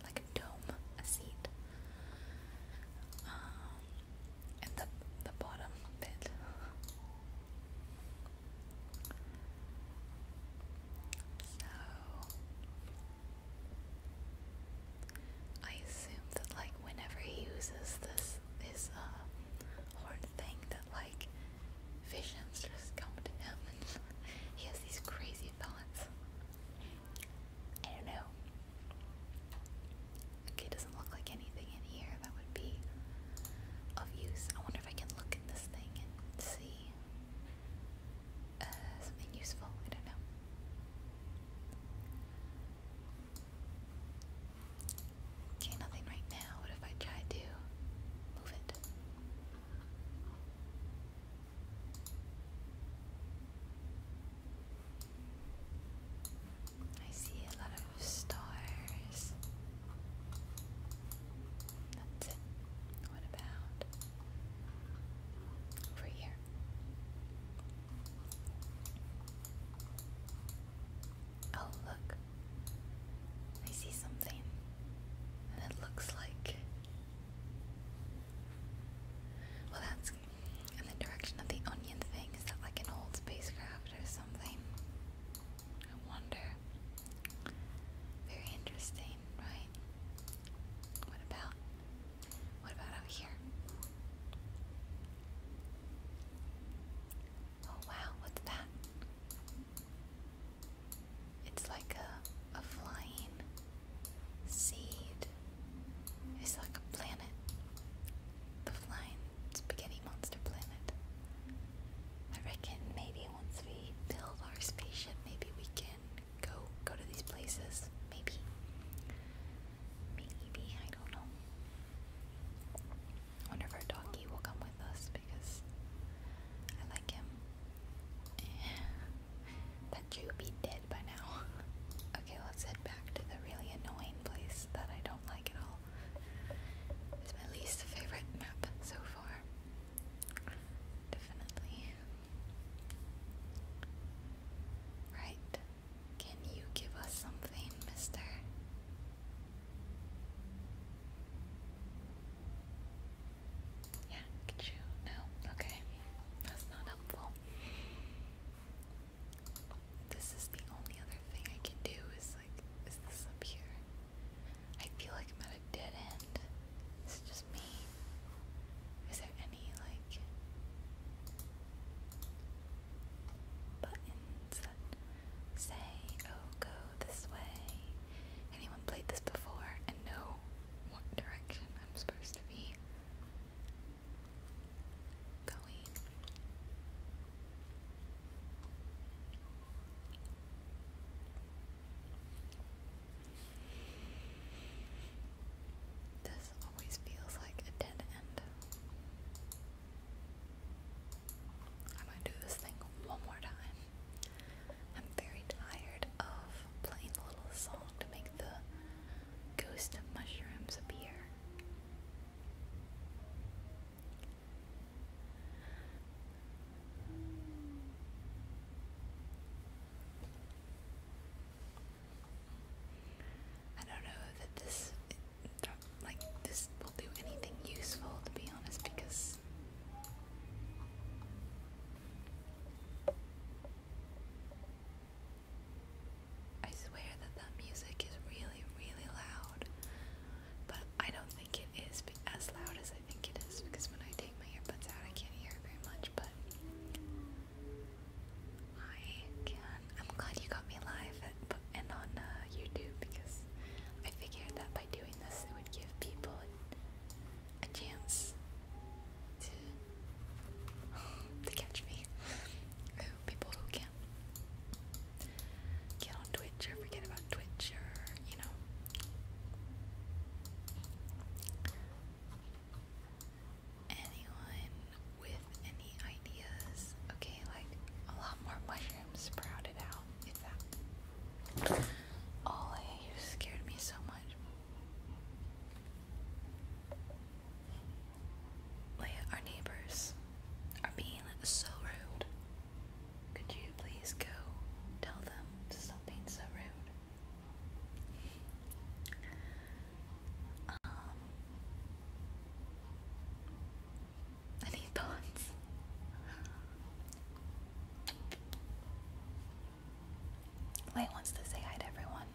Like a dome, a seat. Um, and the the bottom bit. So I assume that like whenever he uses this this this uh horn thing that like visions just come to him and he has these crazy thoughts. I don't know. Okay, it doesn't look like anything in here that would be of use. I wonder if I can look at this thing and see uh, something useful. I don't know. Okay, nothing right now. What if I try to move it? I see a lot of stars. That's it. What about over here? Oh, look. I see something. And it looks like. Well, that's in the direction of the onion thing. Is that like an old spacecraft or something? I wonder. Very interesting, right? What about. What about out here? Oh wow, what's that? It's like a, a flying seed. It's like a planet. The flying spaghetti monster planet. I reckon maybe once we build our spaceship, maybe we can go go to these places. Maybe. Maybe I don't know. I wonder if our donkey will come with us because I like him. that Jew dead by now. okay, let's head back to the really annoying place that I don't like at all. It's my least favorite map so far. Definitely. Right. Can you give us something, mister? Yeah, can you? No? Okay. That's not helpful. This is the only other thing I can do is like, is this up here? I feel like I'm at a dead end. It's just me. Is there any like buttons that say, oh, go this way. Anyone played this before and know what direction I'm supposed to be going? This always feels like a dead end. I'm gonna do this thing one more time. I'm very tired of playing the little song to make the ghost of mushrooms appear. I don't know that this like this will do anything useful to be honest because I swear that that music is really, really loud, but I don't think it is as loud as I think it is because when I take my earbuds out, I can't hear it very much. But I can I'm glad you got me live and on uh, YouTube because I figured that by doing this it would give people a, chance to to catch me. people who can't get on Twitch or forget about Twitch or you know. Anyone with with any ideas. Okay, like a lot more mushrooms sprouted out. If that. Oh, you scared me so much. Like our neighbors are being so rude. Could you please go tell them to stop being so rude? Um, any thoughts? Light wants to say hi to everyone.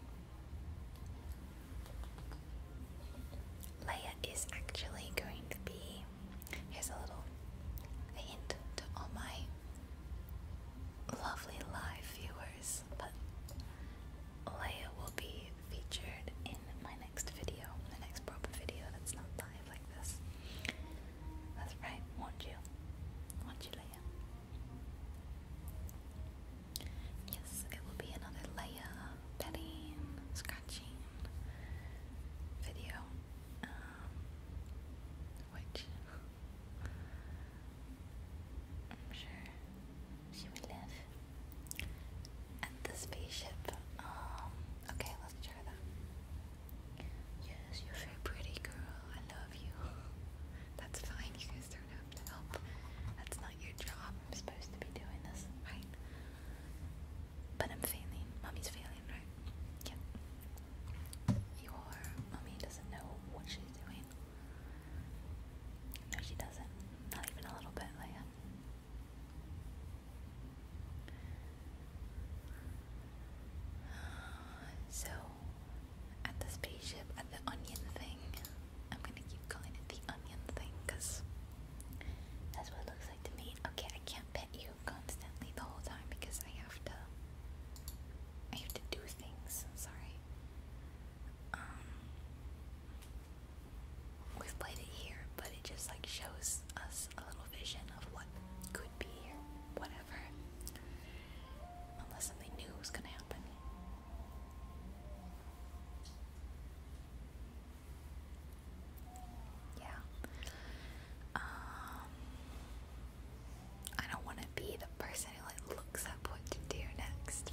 Leia is actually going to be. Here's a little hint to all my lovely live viewers, but Leia will be featured in my next video, the next proper video that's not live like this. That's right, won't you? Won't you, Leia? Yes, it will be another Leia petting, scratching video. Um, which I'm sure she would live. And the spaceship. Um, okay, let's try that. Yes, you're very pretty, girl. I love you. That's fine. You guys don't to help. That's not your job. I'm supposed to be doing this, right? But I'm failing. Mommy's failing, right? Yep. Your mommy doesn't know what she's doing. No, she doesn't. Not even a little bit, Leia. So, at the spaceship, at the onion thing, I'm gonna keep calling it the onion thing because that's what it looks like to me. Okay, I can't pet you constantly the whole time because I have to. I have to do things. Sorry. Um, we've played it here, but it just like shows us a little vision of what could be or whatever. Unless something new was gonna happen. Yeah. Um I don't wanna be the person who like looks up what to do next,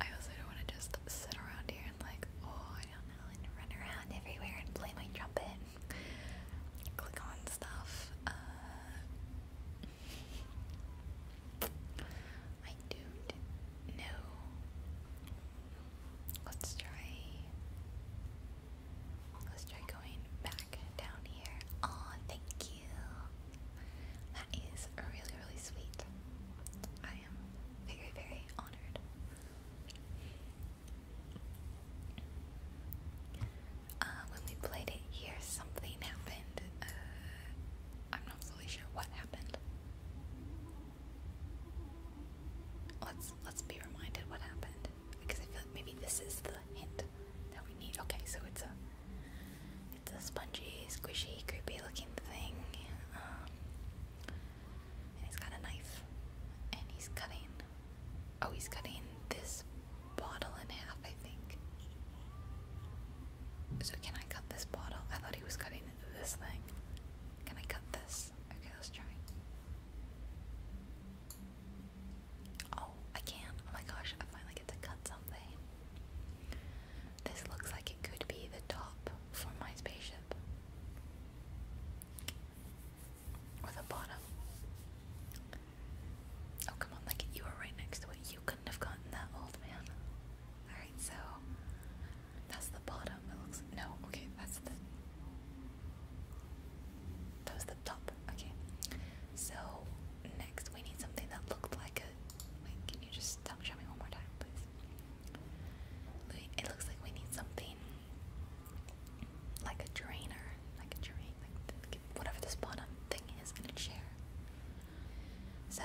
I also don't want to just sit around here and like, oh, I don't know, and run around everywhere and play my trumpet, click on stuff. Uh, I don't know. Let's try. Let's try going back down here. Oh, thank you. That is really, really sweet. I am very, very honored. Uh, when we played it here, something happened. Uh, I'm not fully sure what happened. Let's let's be reminded what happened because I feel like maybe this is the hint that we need. Okay, so it's a it's a spongy, squishy, creepy looking thing. Um, he's got a knife. And he's cutting. Oh, he's cutting this bottle in half, I think. So, can I cut this bottle? I thought he was cutting this thing. Can I cut this? Okay, let's try. Oh, I can. Oh my gosh, I finally get to cut something. This looks like it could be the top for my spaceship. Or the bottom. Oh, come on, like you were right next to it. You couldn't have gotten that, old man. Alright, so that's the bottom. It looks. No, okay, that's the. That was the top. Okay. So, next we need something that looked like a. can you just stop showing me one more time, please? It looks like we need something like a drainer, like a drainer, like whatever this bottom thing is in a chair. So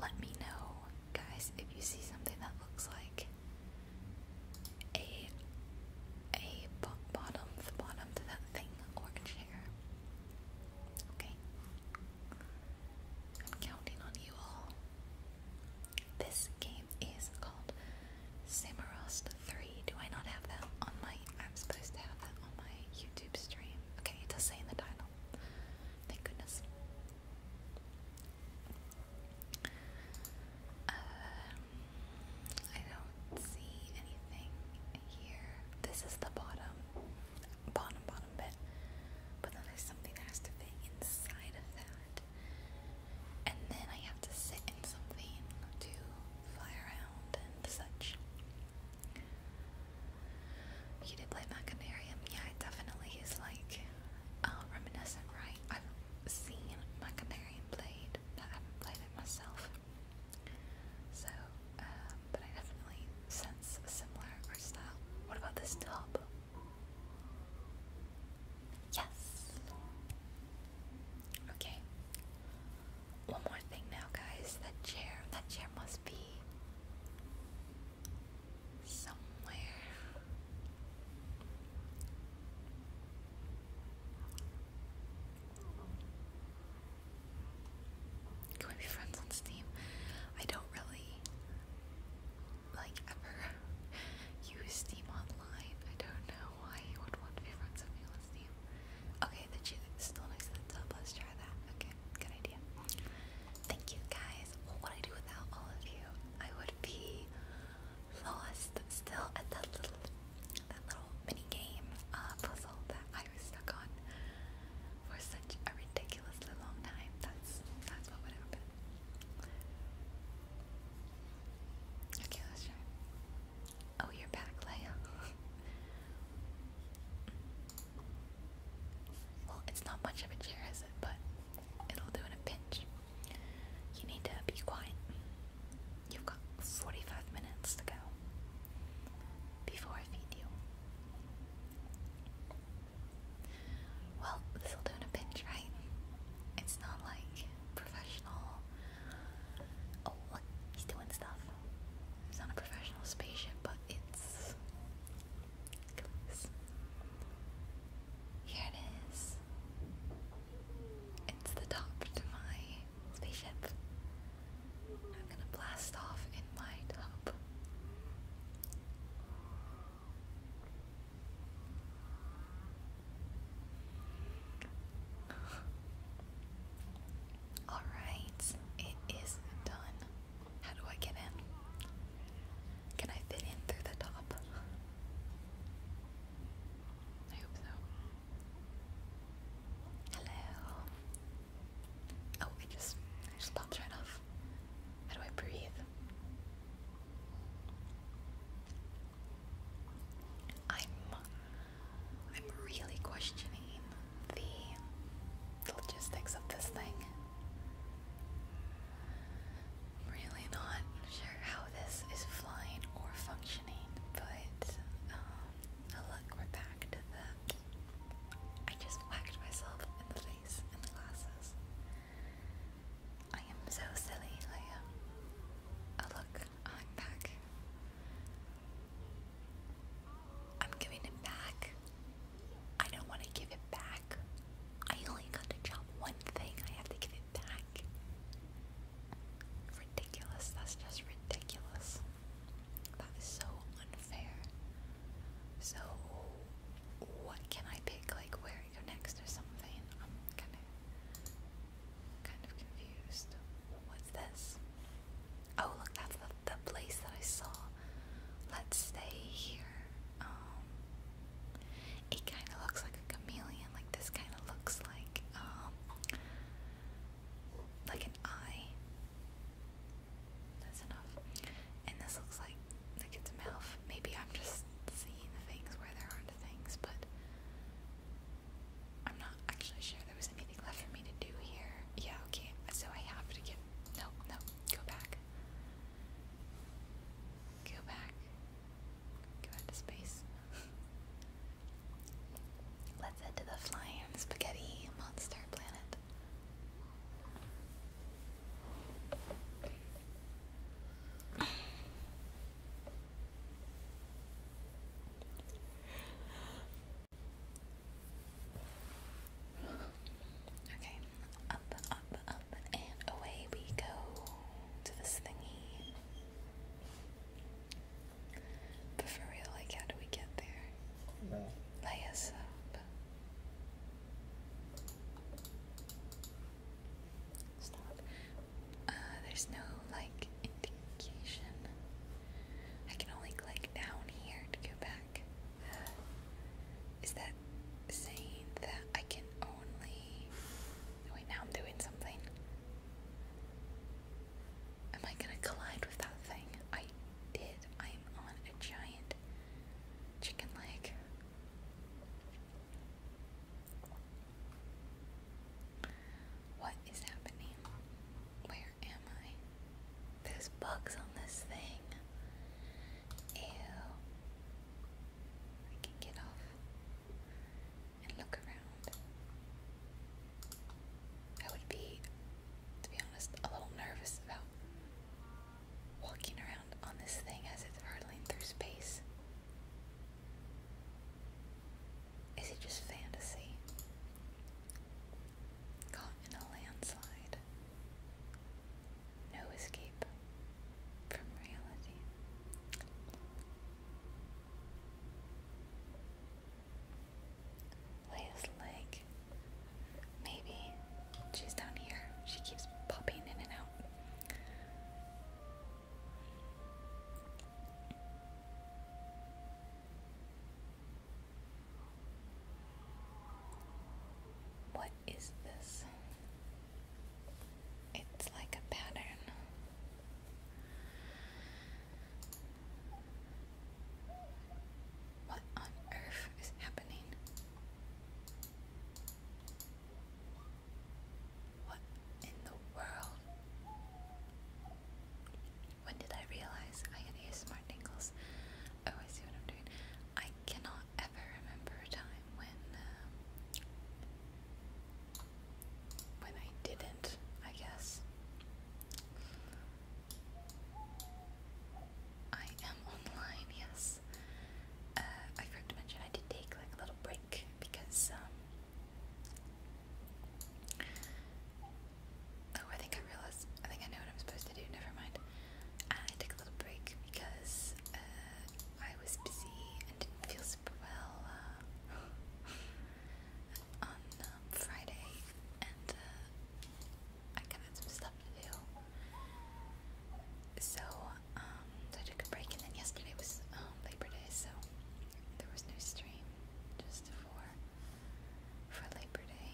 let me know, guys, if you see something that looks like a a bottom, the bottom to that thing or a chair. Okay. I'm counting on you all. This game is called Samorost 3. Do I not have that on my... I'm supposed to have that on my YouTube stream. Okay, it does say in the title. Thank goodness. Um, I don't see anything here. This is the bottom bottom, bottom bit. But then there's something that has to fit inside of that. And then I have to sit in something to fly around and such. You did play Machinarium? Yeah, it definitely is like uh, reminiscent, right? I've seen Machinarium played, but I have played it myself. So, uh, but I definitely sense a similar style. What about this tub? Yes. Okay. One more thing now, guys. That chair, that chair must be somewhere. Can we be friends on Steam? I don't really like ever use Steam online. I don't know why you would want to be friends with me on Steam. Okay, the cheese is still nice to the tub. Let's try that. Okay, good idea. Thank you guys. What would I do without all of you? I would be lost still at that little that little mini game uh, puzzle that I was stuck on for such a ridiculously long time. That's that's what would happen. Okay, let's try. Oh, you're back, Leia. well, it's not much of a chair, is it? But it'll do in a pinch. You need to be quiet. You've got 45 minutes to go before I feed you. Well, this'll do in pinch, right? It's not like professional. Oh, look, he's doing stuff. It's not a professional spaceship, but it's. Here it is. It's the top to my spaceship. I'm gonna blast off in my top. All right, it is done. How do I get in? Can I fit in through the top? I hope so. Hello. Oh, I just I just popped right off. How do I breathe? I'm I'm really questioning the logistics of this thing. really not sure how this is flying or functioning, but um, look, we're back I just whacked myself in the face in the glasses. I am so silly, Leia. Oh um, look, I'm back. I'm giving it back. I don't want to give it back. I only got to chop one thing. I have to give it back. Ridiculous. That's just ridiculous. That is so unfair. So what can I pick, like where to go next or something? I'm kind of, kind of confused. What's this? Oh, look, that's the, the place that I saw. Let's stay here. Um, it kind of looks like a chameleon. Like this kind of looks like, um, like an eye. That's enough. And this looks like like it's mouth. Maybe I'm just seeing things where there aren't things, but I'm not actually sure there was anything left for me to do here. Yeah, okay, so I have to get. No, no, go back. Go back. Go back space. Let's head to the flying spaghetti monster planet. Okay, up, up, up, and away we go to this thingy. But for real, like, how do we get there? Lay us up. Uh, there's no like indication. I can only click down here to go back. is that saying that I can only. wait, now I'm doing something. Am I gonna collide with that thing? I did. I'm on a giant chicken leg. What is happening? Where am I? There's bugs on this thing. Ew. I can get off and look around. I would be, to be honest, a little nervous about walking around on this thing as it's hurtling through space? Is it just fantasy? Caught in a landslide. No escape from reality. Leia's leg Maybe. She's down here. She keeps popping in and out. What is this? It's like a pattern. What on earth is happening? What in the world? When did I realize I had ASMR tingles? Oh, I see what I'm doing. I cannot ever remember a time when um, when I didn't. I guess I am online. Yes, uh, I forgot to mention I did take like a little break because um, Oh, I think I realized I think I know what I'm supposed to do, never mind. Uh, I took a little break because uh, I was busy and didn't feel super well on um, Friday and I had some stuff to do. So um, I took a break, and then yesterday was um, Labor Day, so there was no stream just for for Labor Day.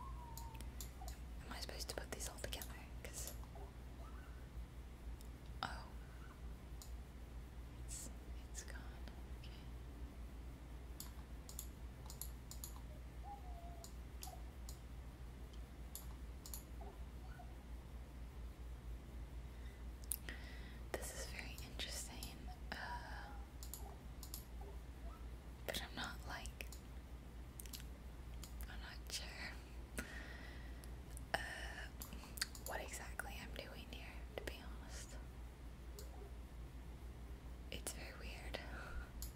Am I supposed to put these all together? Cause oh, it's it's gone. Okay. This is very interesting, uh, but I'm not like, I'm not sure uh, what exactly I'm doing here, to be honest. It's very weird.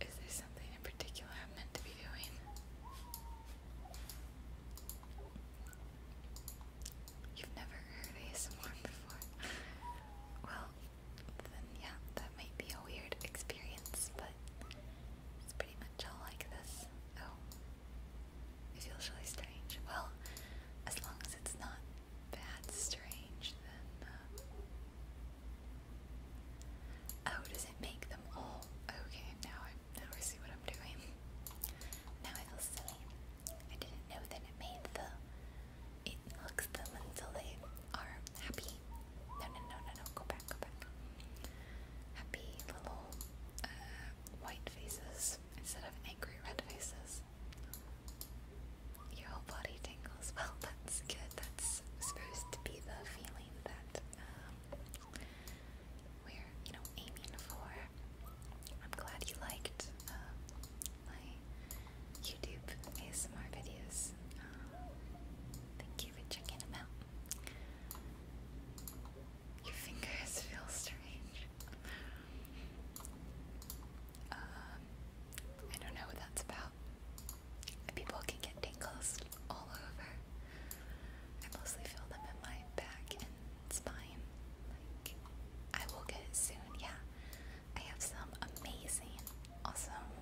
Is there something in particular I'm meant to be doing? You've never heard ASMR before. well, then yeah, that might be a weird experience, but it's pretty much all like this. Oh, it feels really strange. Well, as long as it's not that's strange then. Oh, does it make them all? Okay, now I now see what I'm doing. Now I feel silly. I didn't know that it made the it looks them until they are happy. No no no no no go back, go back. Happy little uh, white faces instead of angry red faces. Your whole body tingles. Well, that's good. That's supposed to be the feeling that um, we're, you know, aiming for. I'm glad you liked um, my YouTube ASMR videos. Um, thank you for checking them out. Your fingers feel strange. Uh, I don't know what that's about. People can get tingles all over. I mostly feel them in my back and spine. I will get it soon, yeah. I have some amazing, awesome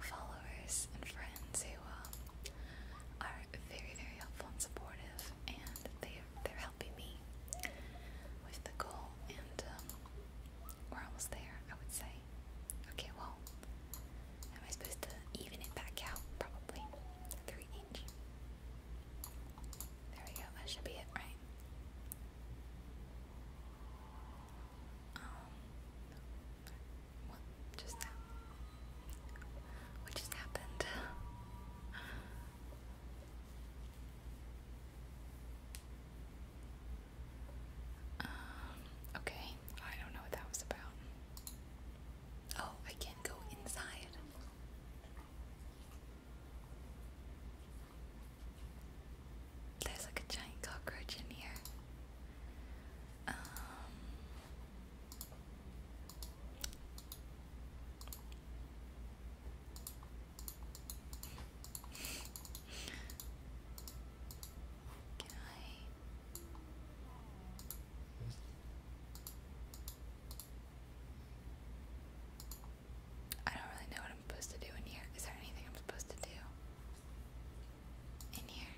followers and friends who um, are very, very helpful and supportive, and they they're helping me with the goal. And um, we're almost there, I would say. Okay, well, am I supposed to even it back out? Probably. Three inch. There we go, that should be it, right? Um, What just happened? Um, okay, I don't know what that was about. Oh, I can go inside. There's like a giant cockroach in here. Um, can I? don't really know what I'm supposed to do in here. Is there anything I'm supposed to do? In here?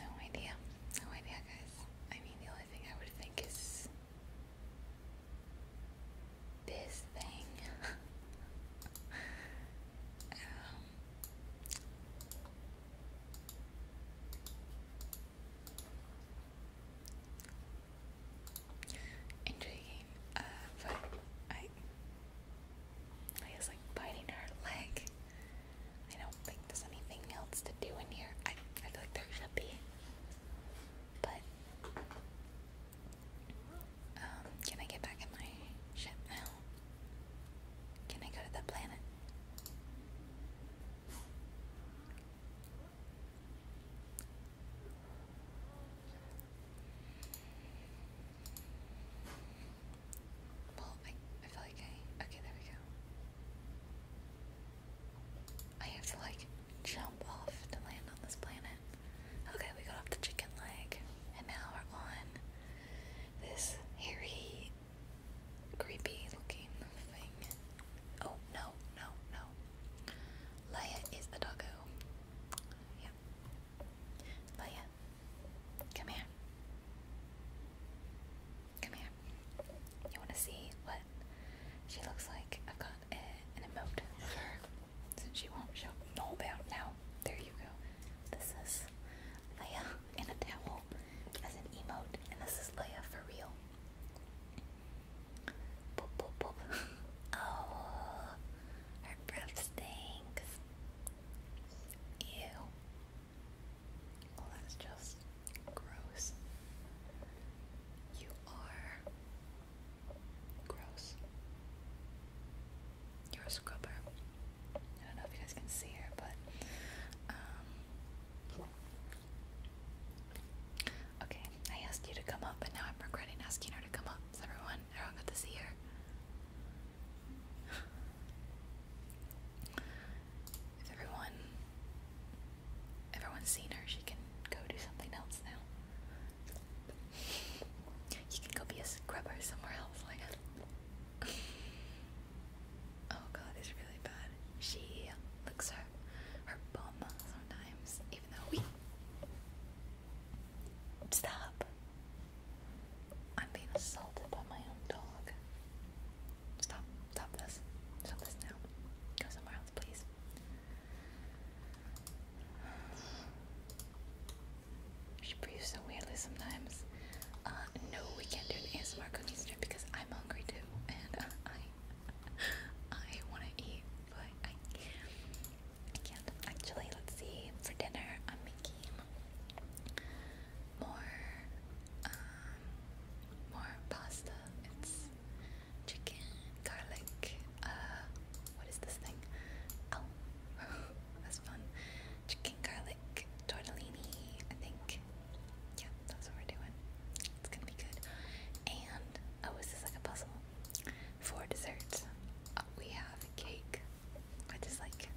No idea. No idea, guys. I mean, the only thing I would think is this thing. um, intriguing, uh, but I, I guess like biting her leg. I don't think there's anything else to do in here. I, I feel like there should be, but um, can I get back in my ship now? Can I go to the planet? Well, I, I feel like I. Okay, there we go. I have to, like, jump off to land on this planet. Okay, we got off the chicken leg, and now we're on this hairy, creepy looking thing. Oh, no, no, no. Leia is a doggo. Yeah. Leia, come here. Come here. You want to see what she looks like? i got a, an emote of her since she won't show know about now. There you go. This is Leia in a towel as an emote, and this is Leia for real. Boop, boop, boop. Oh, her breath stinks. Ew. Well, that's just Gross. You are gross. You're a scrubber. I don't know if you guys can see her, but um Okay, I asked you to come up, but now I'm regretting asking her to come up. Is everyone everyone got to see her? everyone everyone's seen her. She can go do something else now. You can go be a scrubber somewhere else, like. oh god, it's really bad. She looks her her bum sometimes, even though we stop. I'm being assaulted by my own dog. Stop! Stop this! Stop this now! Go somewhere else mouth, please. She breathes so weirdly sometimes. Uh, no, we can't do an ASMR cooking stream because I'm hungry too, and uh, I, I want to eat, but I can't. Actually, let's see. For dinner, I'm making more, um, more pasta. It's chicken, garlic, uh, what is this thing? Oh, that's fun. Chicken, garlic, tortellini, I think. Yeah, that's what we're doing. It's gonna be good. And, oh, is this like a puzzle? For dessert, uh, we have cake, which is like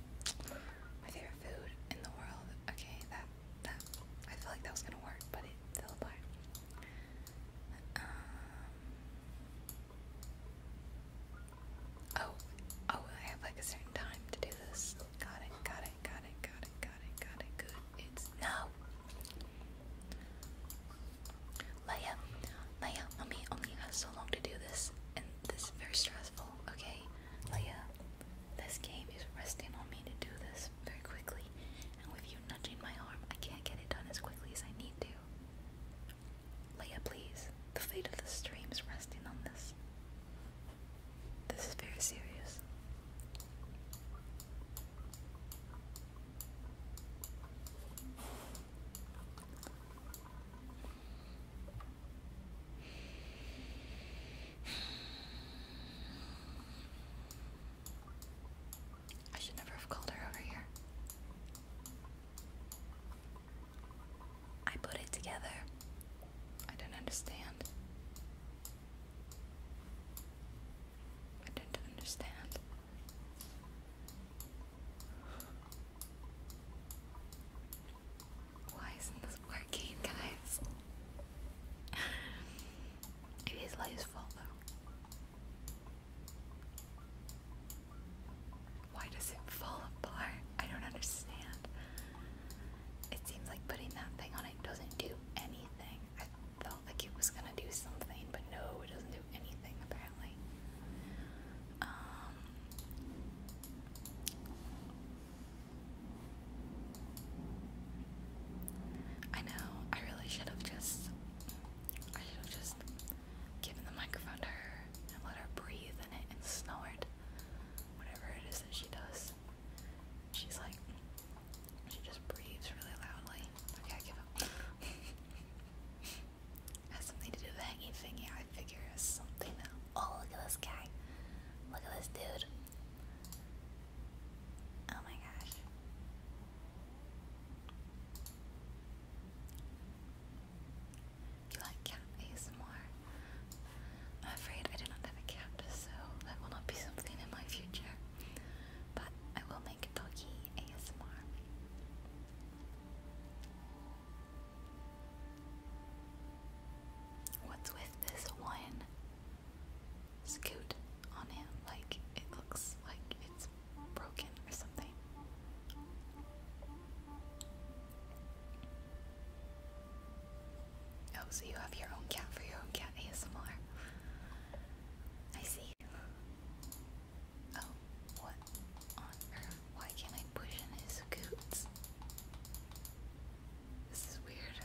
my favorite food in the world. Okay, that, that, I feel like that was gonna work, but it fell apart. Um, oh, oh, I have like a certain time to do this. Got it, got it, got it, got it, got it, got it, good. It's now. Leia, Leia, mommy only has so long to do this, and this is very stressful, okay? Leia, this game is resting on me to do this very quickly, and with you nudging my arm. I can't get it done as quickly as I need to. Leia, please. The fate of the stream is resting on this. This is very serious. I should never have called her over here. I put it together. I don't understand. I don't understand. Why isn't this working, guys? it is Lay's fault, though. Why does it fall apart? I don't understand. It seems like putting that thing on it doesn't do anything. I felt like it was gonna do something, but no, it doesn't do anything apparently. Um, I know, I really should have just I should have just given the microphone to her and let her breathe in it and snort. Whatever it is that she does. She's like, she just breathes really loudly. Okay, give up. has something to do the hanging thingy. I figure it something that. Oh, look at this guy. Look at this dude. Oh my gosh like cat ASMR? I'm afraid I do not have a cat, so that will not be something in my future. But I will make a doggy ASMR. What's with this one? Scoot on him. Like, it looks like it's broken or something. Oh, so you have your own cat for your own cat ASMR. I see. Oh, what on earth? Why can't I push in his coots? This is weird.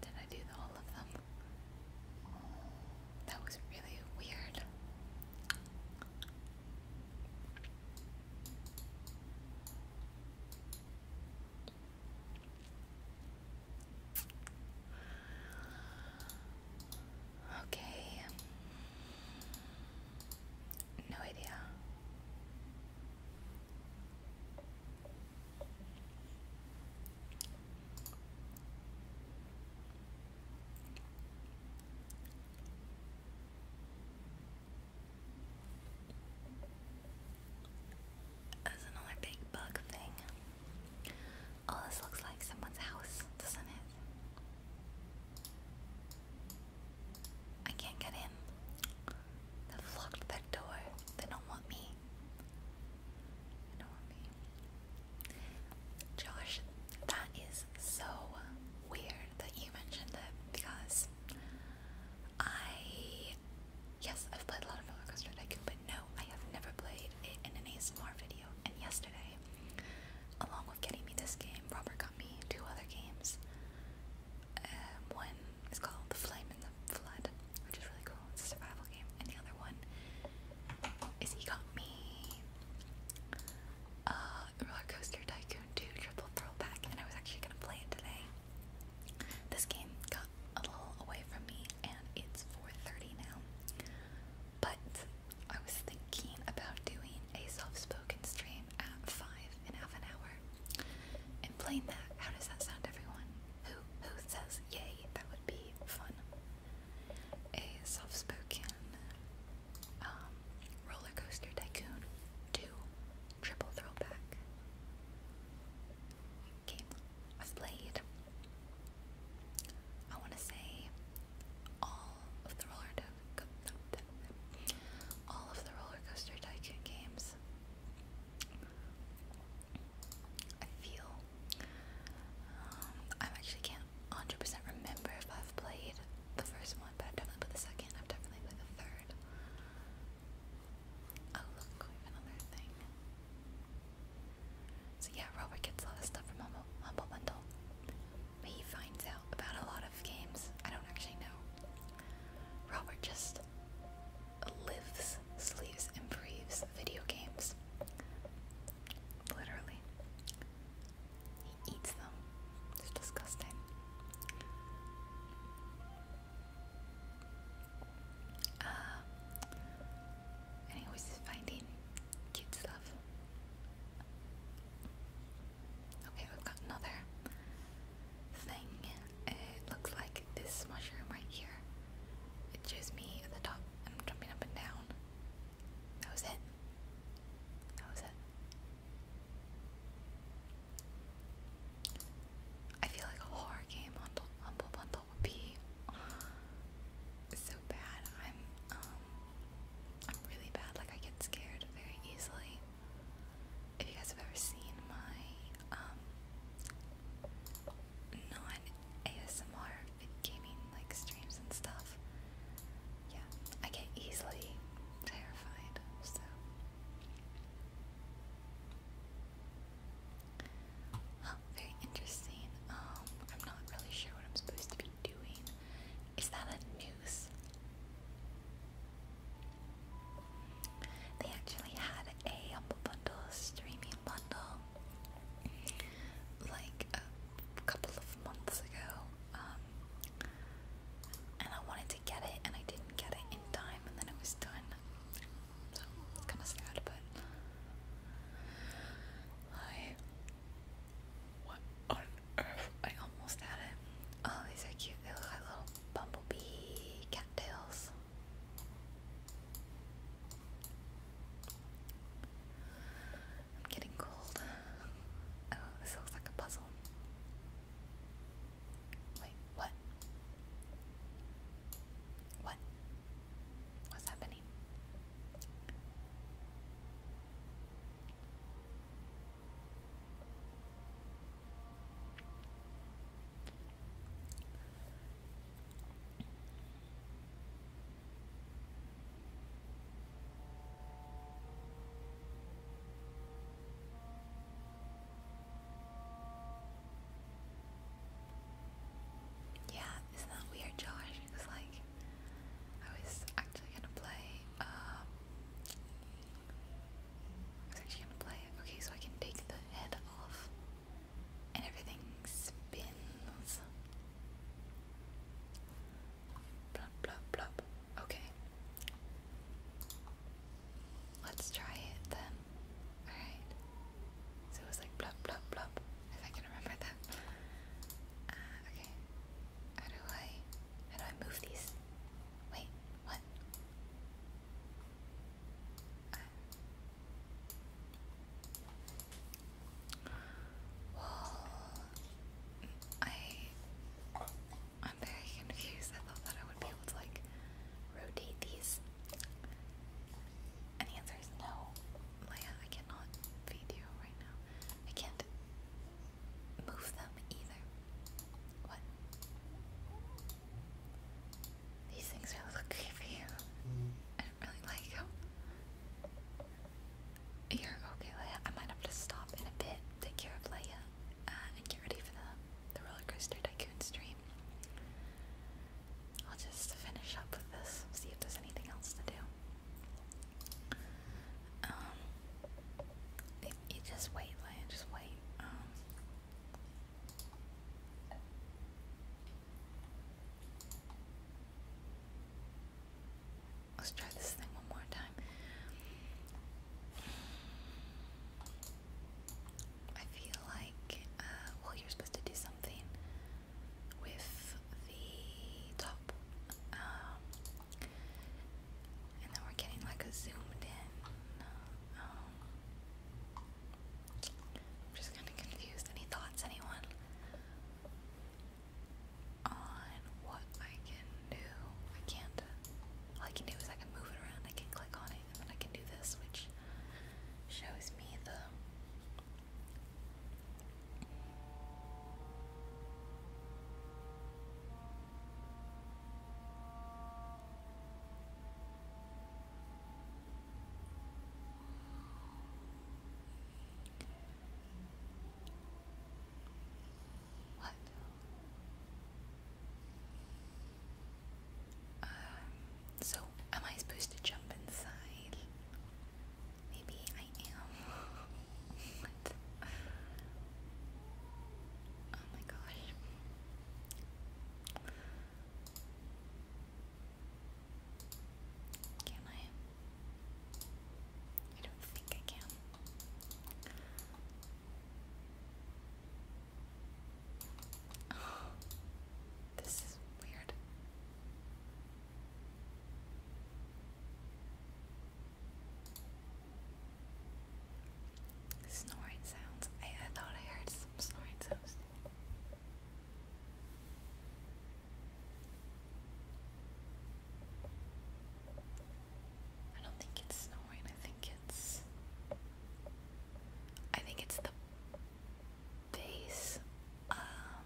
Did I do all of them? That was really weird. Okay. No idea. There's another big bug thing. Oh, this looks like someone's house, doesn't it? I can't get in. They've locked that door. They don't want me. They don't want me. Josh, that is so weird that you mentioned it because I. Yes, I've played a lot of roller coaster tycoon, but no, I have never played it in an ASMR video. And yesterday, along with getting me this game, Robert got me two other games um, one is called The Flame in the Flood, which is really cool. It's a survival game. And the other one is he got me uh, Roller Coaster Tycoon 2 Triple Throwback, and I was actually gonna play it today. This game got a little away from me, and it's 4:30 now. But I was thinking about doing a soft-spoken stream time at 5 in half an hour. Explain that. How does that sound, everyone? Who who says yay? That would be fun. A soft-spoken um, roller coaster tycoon. Two triple throwback game I've I want to say all of the roller all of the roller coaster tycoon games. I feel um, I actually can't 100% remember if I've played the first one, but I've definitely played the second. I've definitely played the third. Oh look, another thing. So yeah, Robert gets a lot of stuff from Humble, Humble Bundle. but He finds out about a lot of games. I don't actually know Robert just lives, sleeps, and breathes video games. Literally. He eats them. It's disgusting. Uh, and he always is finding cute stuff. Okay, we've got another thing. It looks like this mushroom right here. It shows me at the top. I'm jumping up and down. That was it. That was it. I feel like a horror game on Humble Bundle would be so bad. I'm um I'm really bad. Like I get scared very easily if you guys have ever seen my um, non ASMR gaming like streams and stuff, yeah, I get easily terrified. So, very interesting. Um, I'm not really sure what I'm supposed to be doing. Is that a noose? They actually had a Bundle streaming bundle like a couple of months ago, um, and I wanted to get it and I didn't get it in time, and then it was done. So kind of sad, but I. What I almost had it. Oh, these are cute. They look like little bumblebee cattails. I'm getting cold. Oh, this looks like a puzzle. Wait, what? What? What's happening? Yeah, isn't that weird, Josh? Because like I was actually gonna play um, I was actually gonna play it. Okay, so I can take the head off and everything spins. Blop, blop, blop. Okay. Let's try it then. Alright. So it was like blop, blop, blop. If I can remember that. Uh, okay. How do I. How do I move these? Wait, what? I I'm very confused. I thought that I would be able to like rotate these. And the answer is no. Leia, I cannot feed you right now. I can't move them either. These things really look creepy. I don't really like them. You're okay, Leia. I might have to stop in a bit, take care of Leia, uh, and get ready for the, the roller coaster tycoon stream. I'll just finish up with this, see if there's anything else to do. Um, you just wait, Lan, just wait. Um. Let's try this thing one more time. I feel like, uh, well, you're supposed to do something with the top. Um, and then we're getting like a zoomed in. I'm um, just kind of confused. Any thoughts, anyone, on what I can do? I can't. All I can do is I can move it around. I can click on it, I can do this, which shows me the. Um, so am I supposed to jump inside? Maybe I am. Oh my gosh. Can I? I don't think I can. Oh, this is weird. Snoring sounds. I, I thought I heard some snoring sounds. I don't think it's snowing. I think it's. I think it's the base um,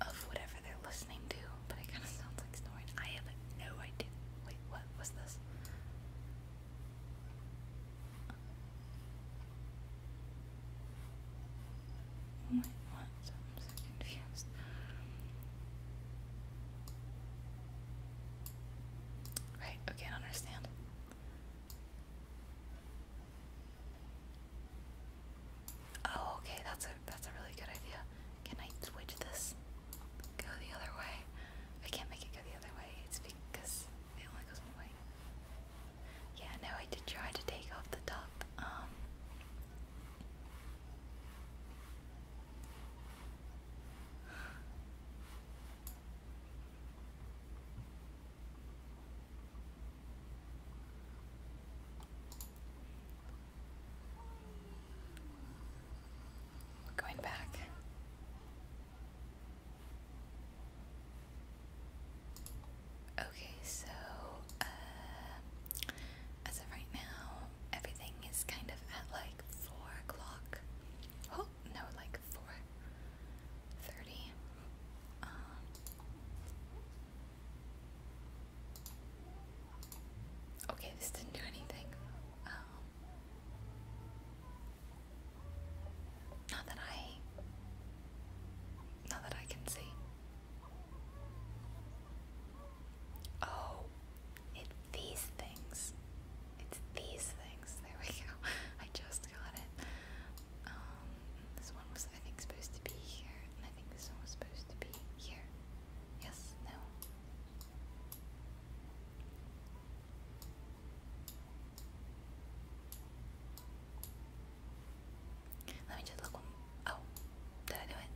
of whatever they're listening to, but it kind of sounds like snoring. I have no idea. Wait, what was this? Oh right, okay, I understand. Oh, okay, that's what that's a really good idea. Can I switch this? Go the other way. I can't make it go the other way. It's because it only goes one way. Yeah, no, I did try to take off the top. Um, we're going back. Okay, so uh, as of right now, everything is kind of at like four o'clock. Oh no, like four thirty. Um, Okay, this didn't do anything. Um, not that I, not that I can see. Oh, it these things. It's these things. There we go. I just got it. Um, this one was I think supposed to be here, I think this one was supposed to be here. Yes, no. Let me just look. Oh, did I do it?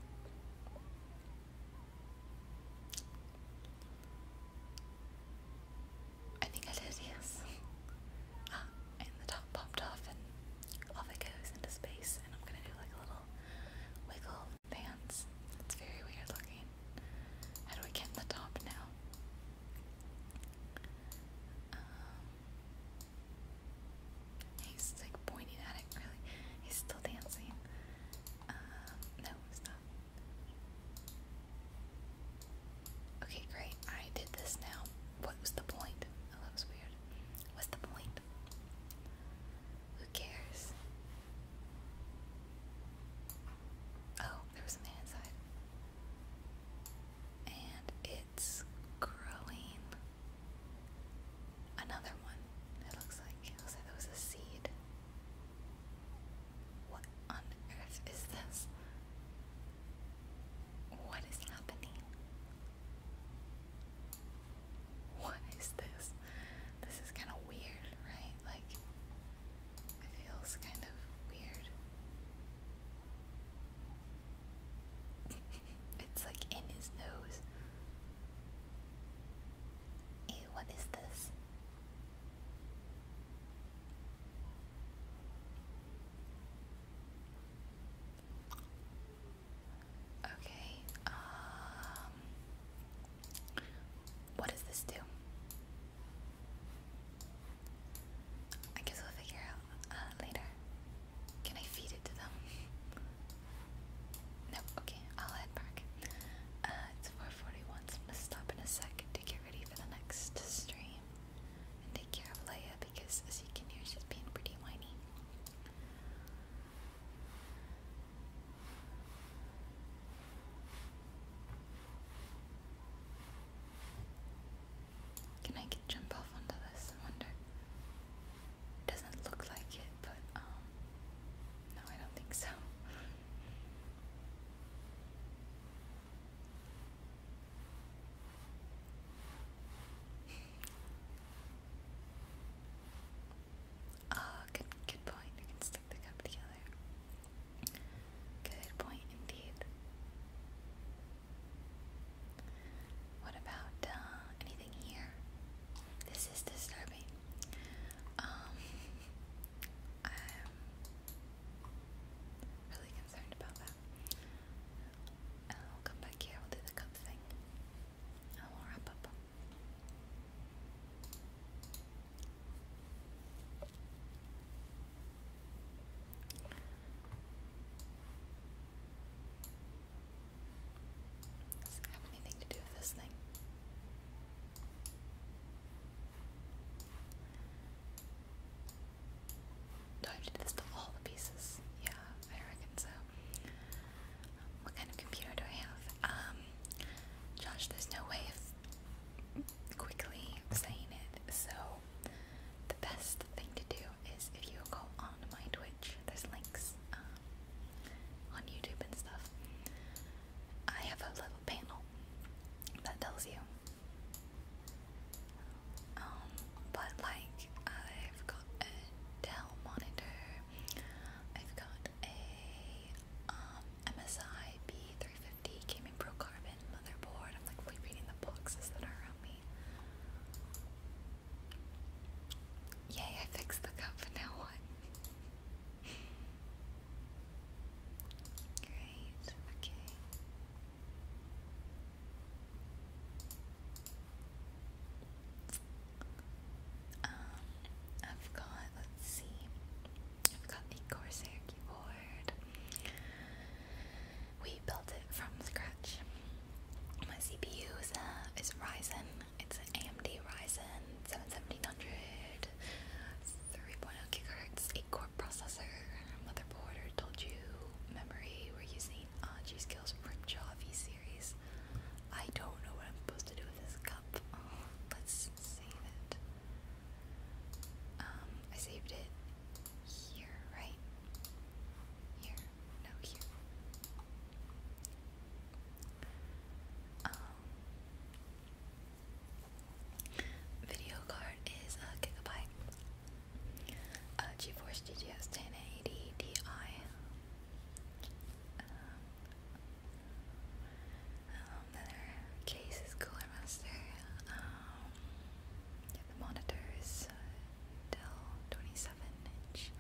I think I did, yes. ah, and the top popped off and off it goes into space and I'm gonna do like a little wiggle pants. It's very weird looking. How do I get the top now? Um, he's like pointing at it, really. He's still dancing. Um, no, stop. Okay, great. I did this now. What was the point? Oh, that was weird. What's the point? Who cares? Oh, there was a man inside. And it's growing. Another one, it looks like. It looks like there was a seed. What on earth is this? What is happening? What is this? This is kind of weird, right? Like, it feels kind of weird. it's like in his nose. Ew, what is this? Okay. Um, what does this do? I guess we'll figure out uh, later. Can I feed it to them? No, okay, I'll head back. Uh, it's 441, so I'm gonna stop in a sec to get ready for the next stream and take care of Leia because, as you can hear, she's being pretty whiny. Can I jump off onto this? I wonder. Doesn't look like it, but um, no, I don't think so. Ah, good, good point. We can stick the cup together. Good point indeed. What about uh, anything here? This is disturbing. Um, I'm really concerned about that. Uh, we'll come back here. We'll do the cup thing have anything to do with this thing? Do I have to do this to all the pieces? Yeah, I reckon so. What kind of computer do I have? Um, Josh, there's no way of quickly saying it, so the best thing to do is if you go on my Twitch, there's links um, on YouTube and stuff. I have a little panel that tells you. Um, but like I've got a Dell monitor, I've got a um, MSI B350 Gaming Pro Carbon motherboard. I'm like reading the boxes that are around me. Yay, I fixed the cup, now what? Great, okay. Um, I've got, let's see, I've got the Corsair keyboard. We built it from scratch. My CPU is, uh, is Ryzen, it's an AMD Ryzen 7700, 3.0 GHz, 8 core processor, motherboard, told you, memory, we're using uh, G Skills Ripjaw V series. I don't know what I'm supposed to do with this cup. Oh, let's save it. Um, I saved it here, right? Here, no, here. Um, video card is a gigabyte. A uh, GeForce GTX 1080 Ti. Um, um, the case is Cooler Master. Um, the monitor is uh, Dell 27 inch,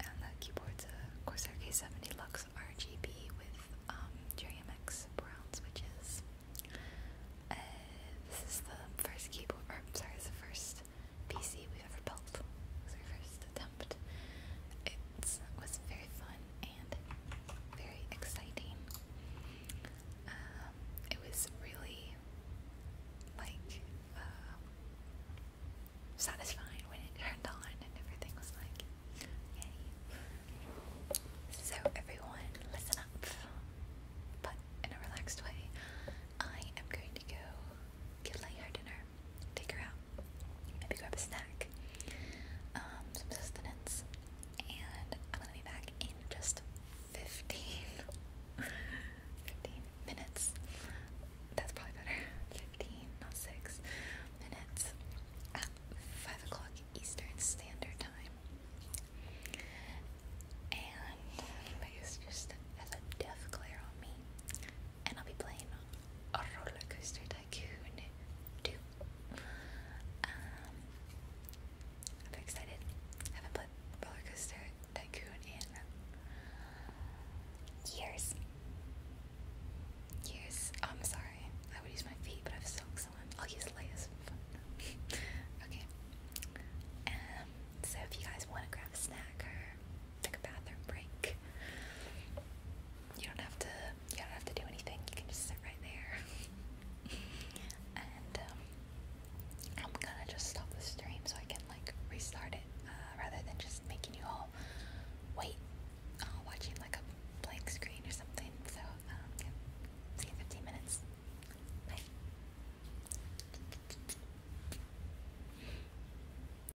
and the keyboard's a Corsair K70 Lux RGB with um, JMX brown switches. Uh, this is the first keyboard, or sorry, it's the first PC we've ever built. It our first attempt. It was very fun and very exciting. Um, it was really like um, satisfying when it turned on and everything was like, yay. So, everyone, listen up. But in a relaxed way, I am going to go get Light her dinner, take her out maybe grab a snack, um, some sustenance, and I'm gonna be back in just 15, minutes. That's probably better. 15, not 6 minutes at 5 o'clock Eastern Standard Time. And my face just has a death glare on me and I'll be playing a roller coaster tycoon too. Um, I'm excited. I haven't played roller tycoon in years. Years. Oh, I'm sorry. I would use my feet, but I've sunk someone. I'll use Leia's okay. Um, so if you guys want to grab a snack take a bathroom break. You don't have to. You don't have to do anything. You can just sit right there. and um, I'm gonna just stop the stream so I can like restart it, uh, rather than just making you all wait, uh, watching like a blank screen or something. So um, see you in 15 minutes. Bye.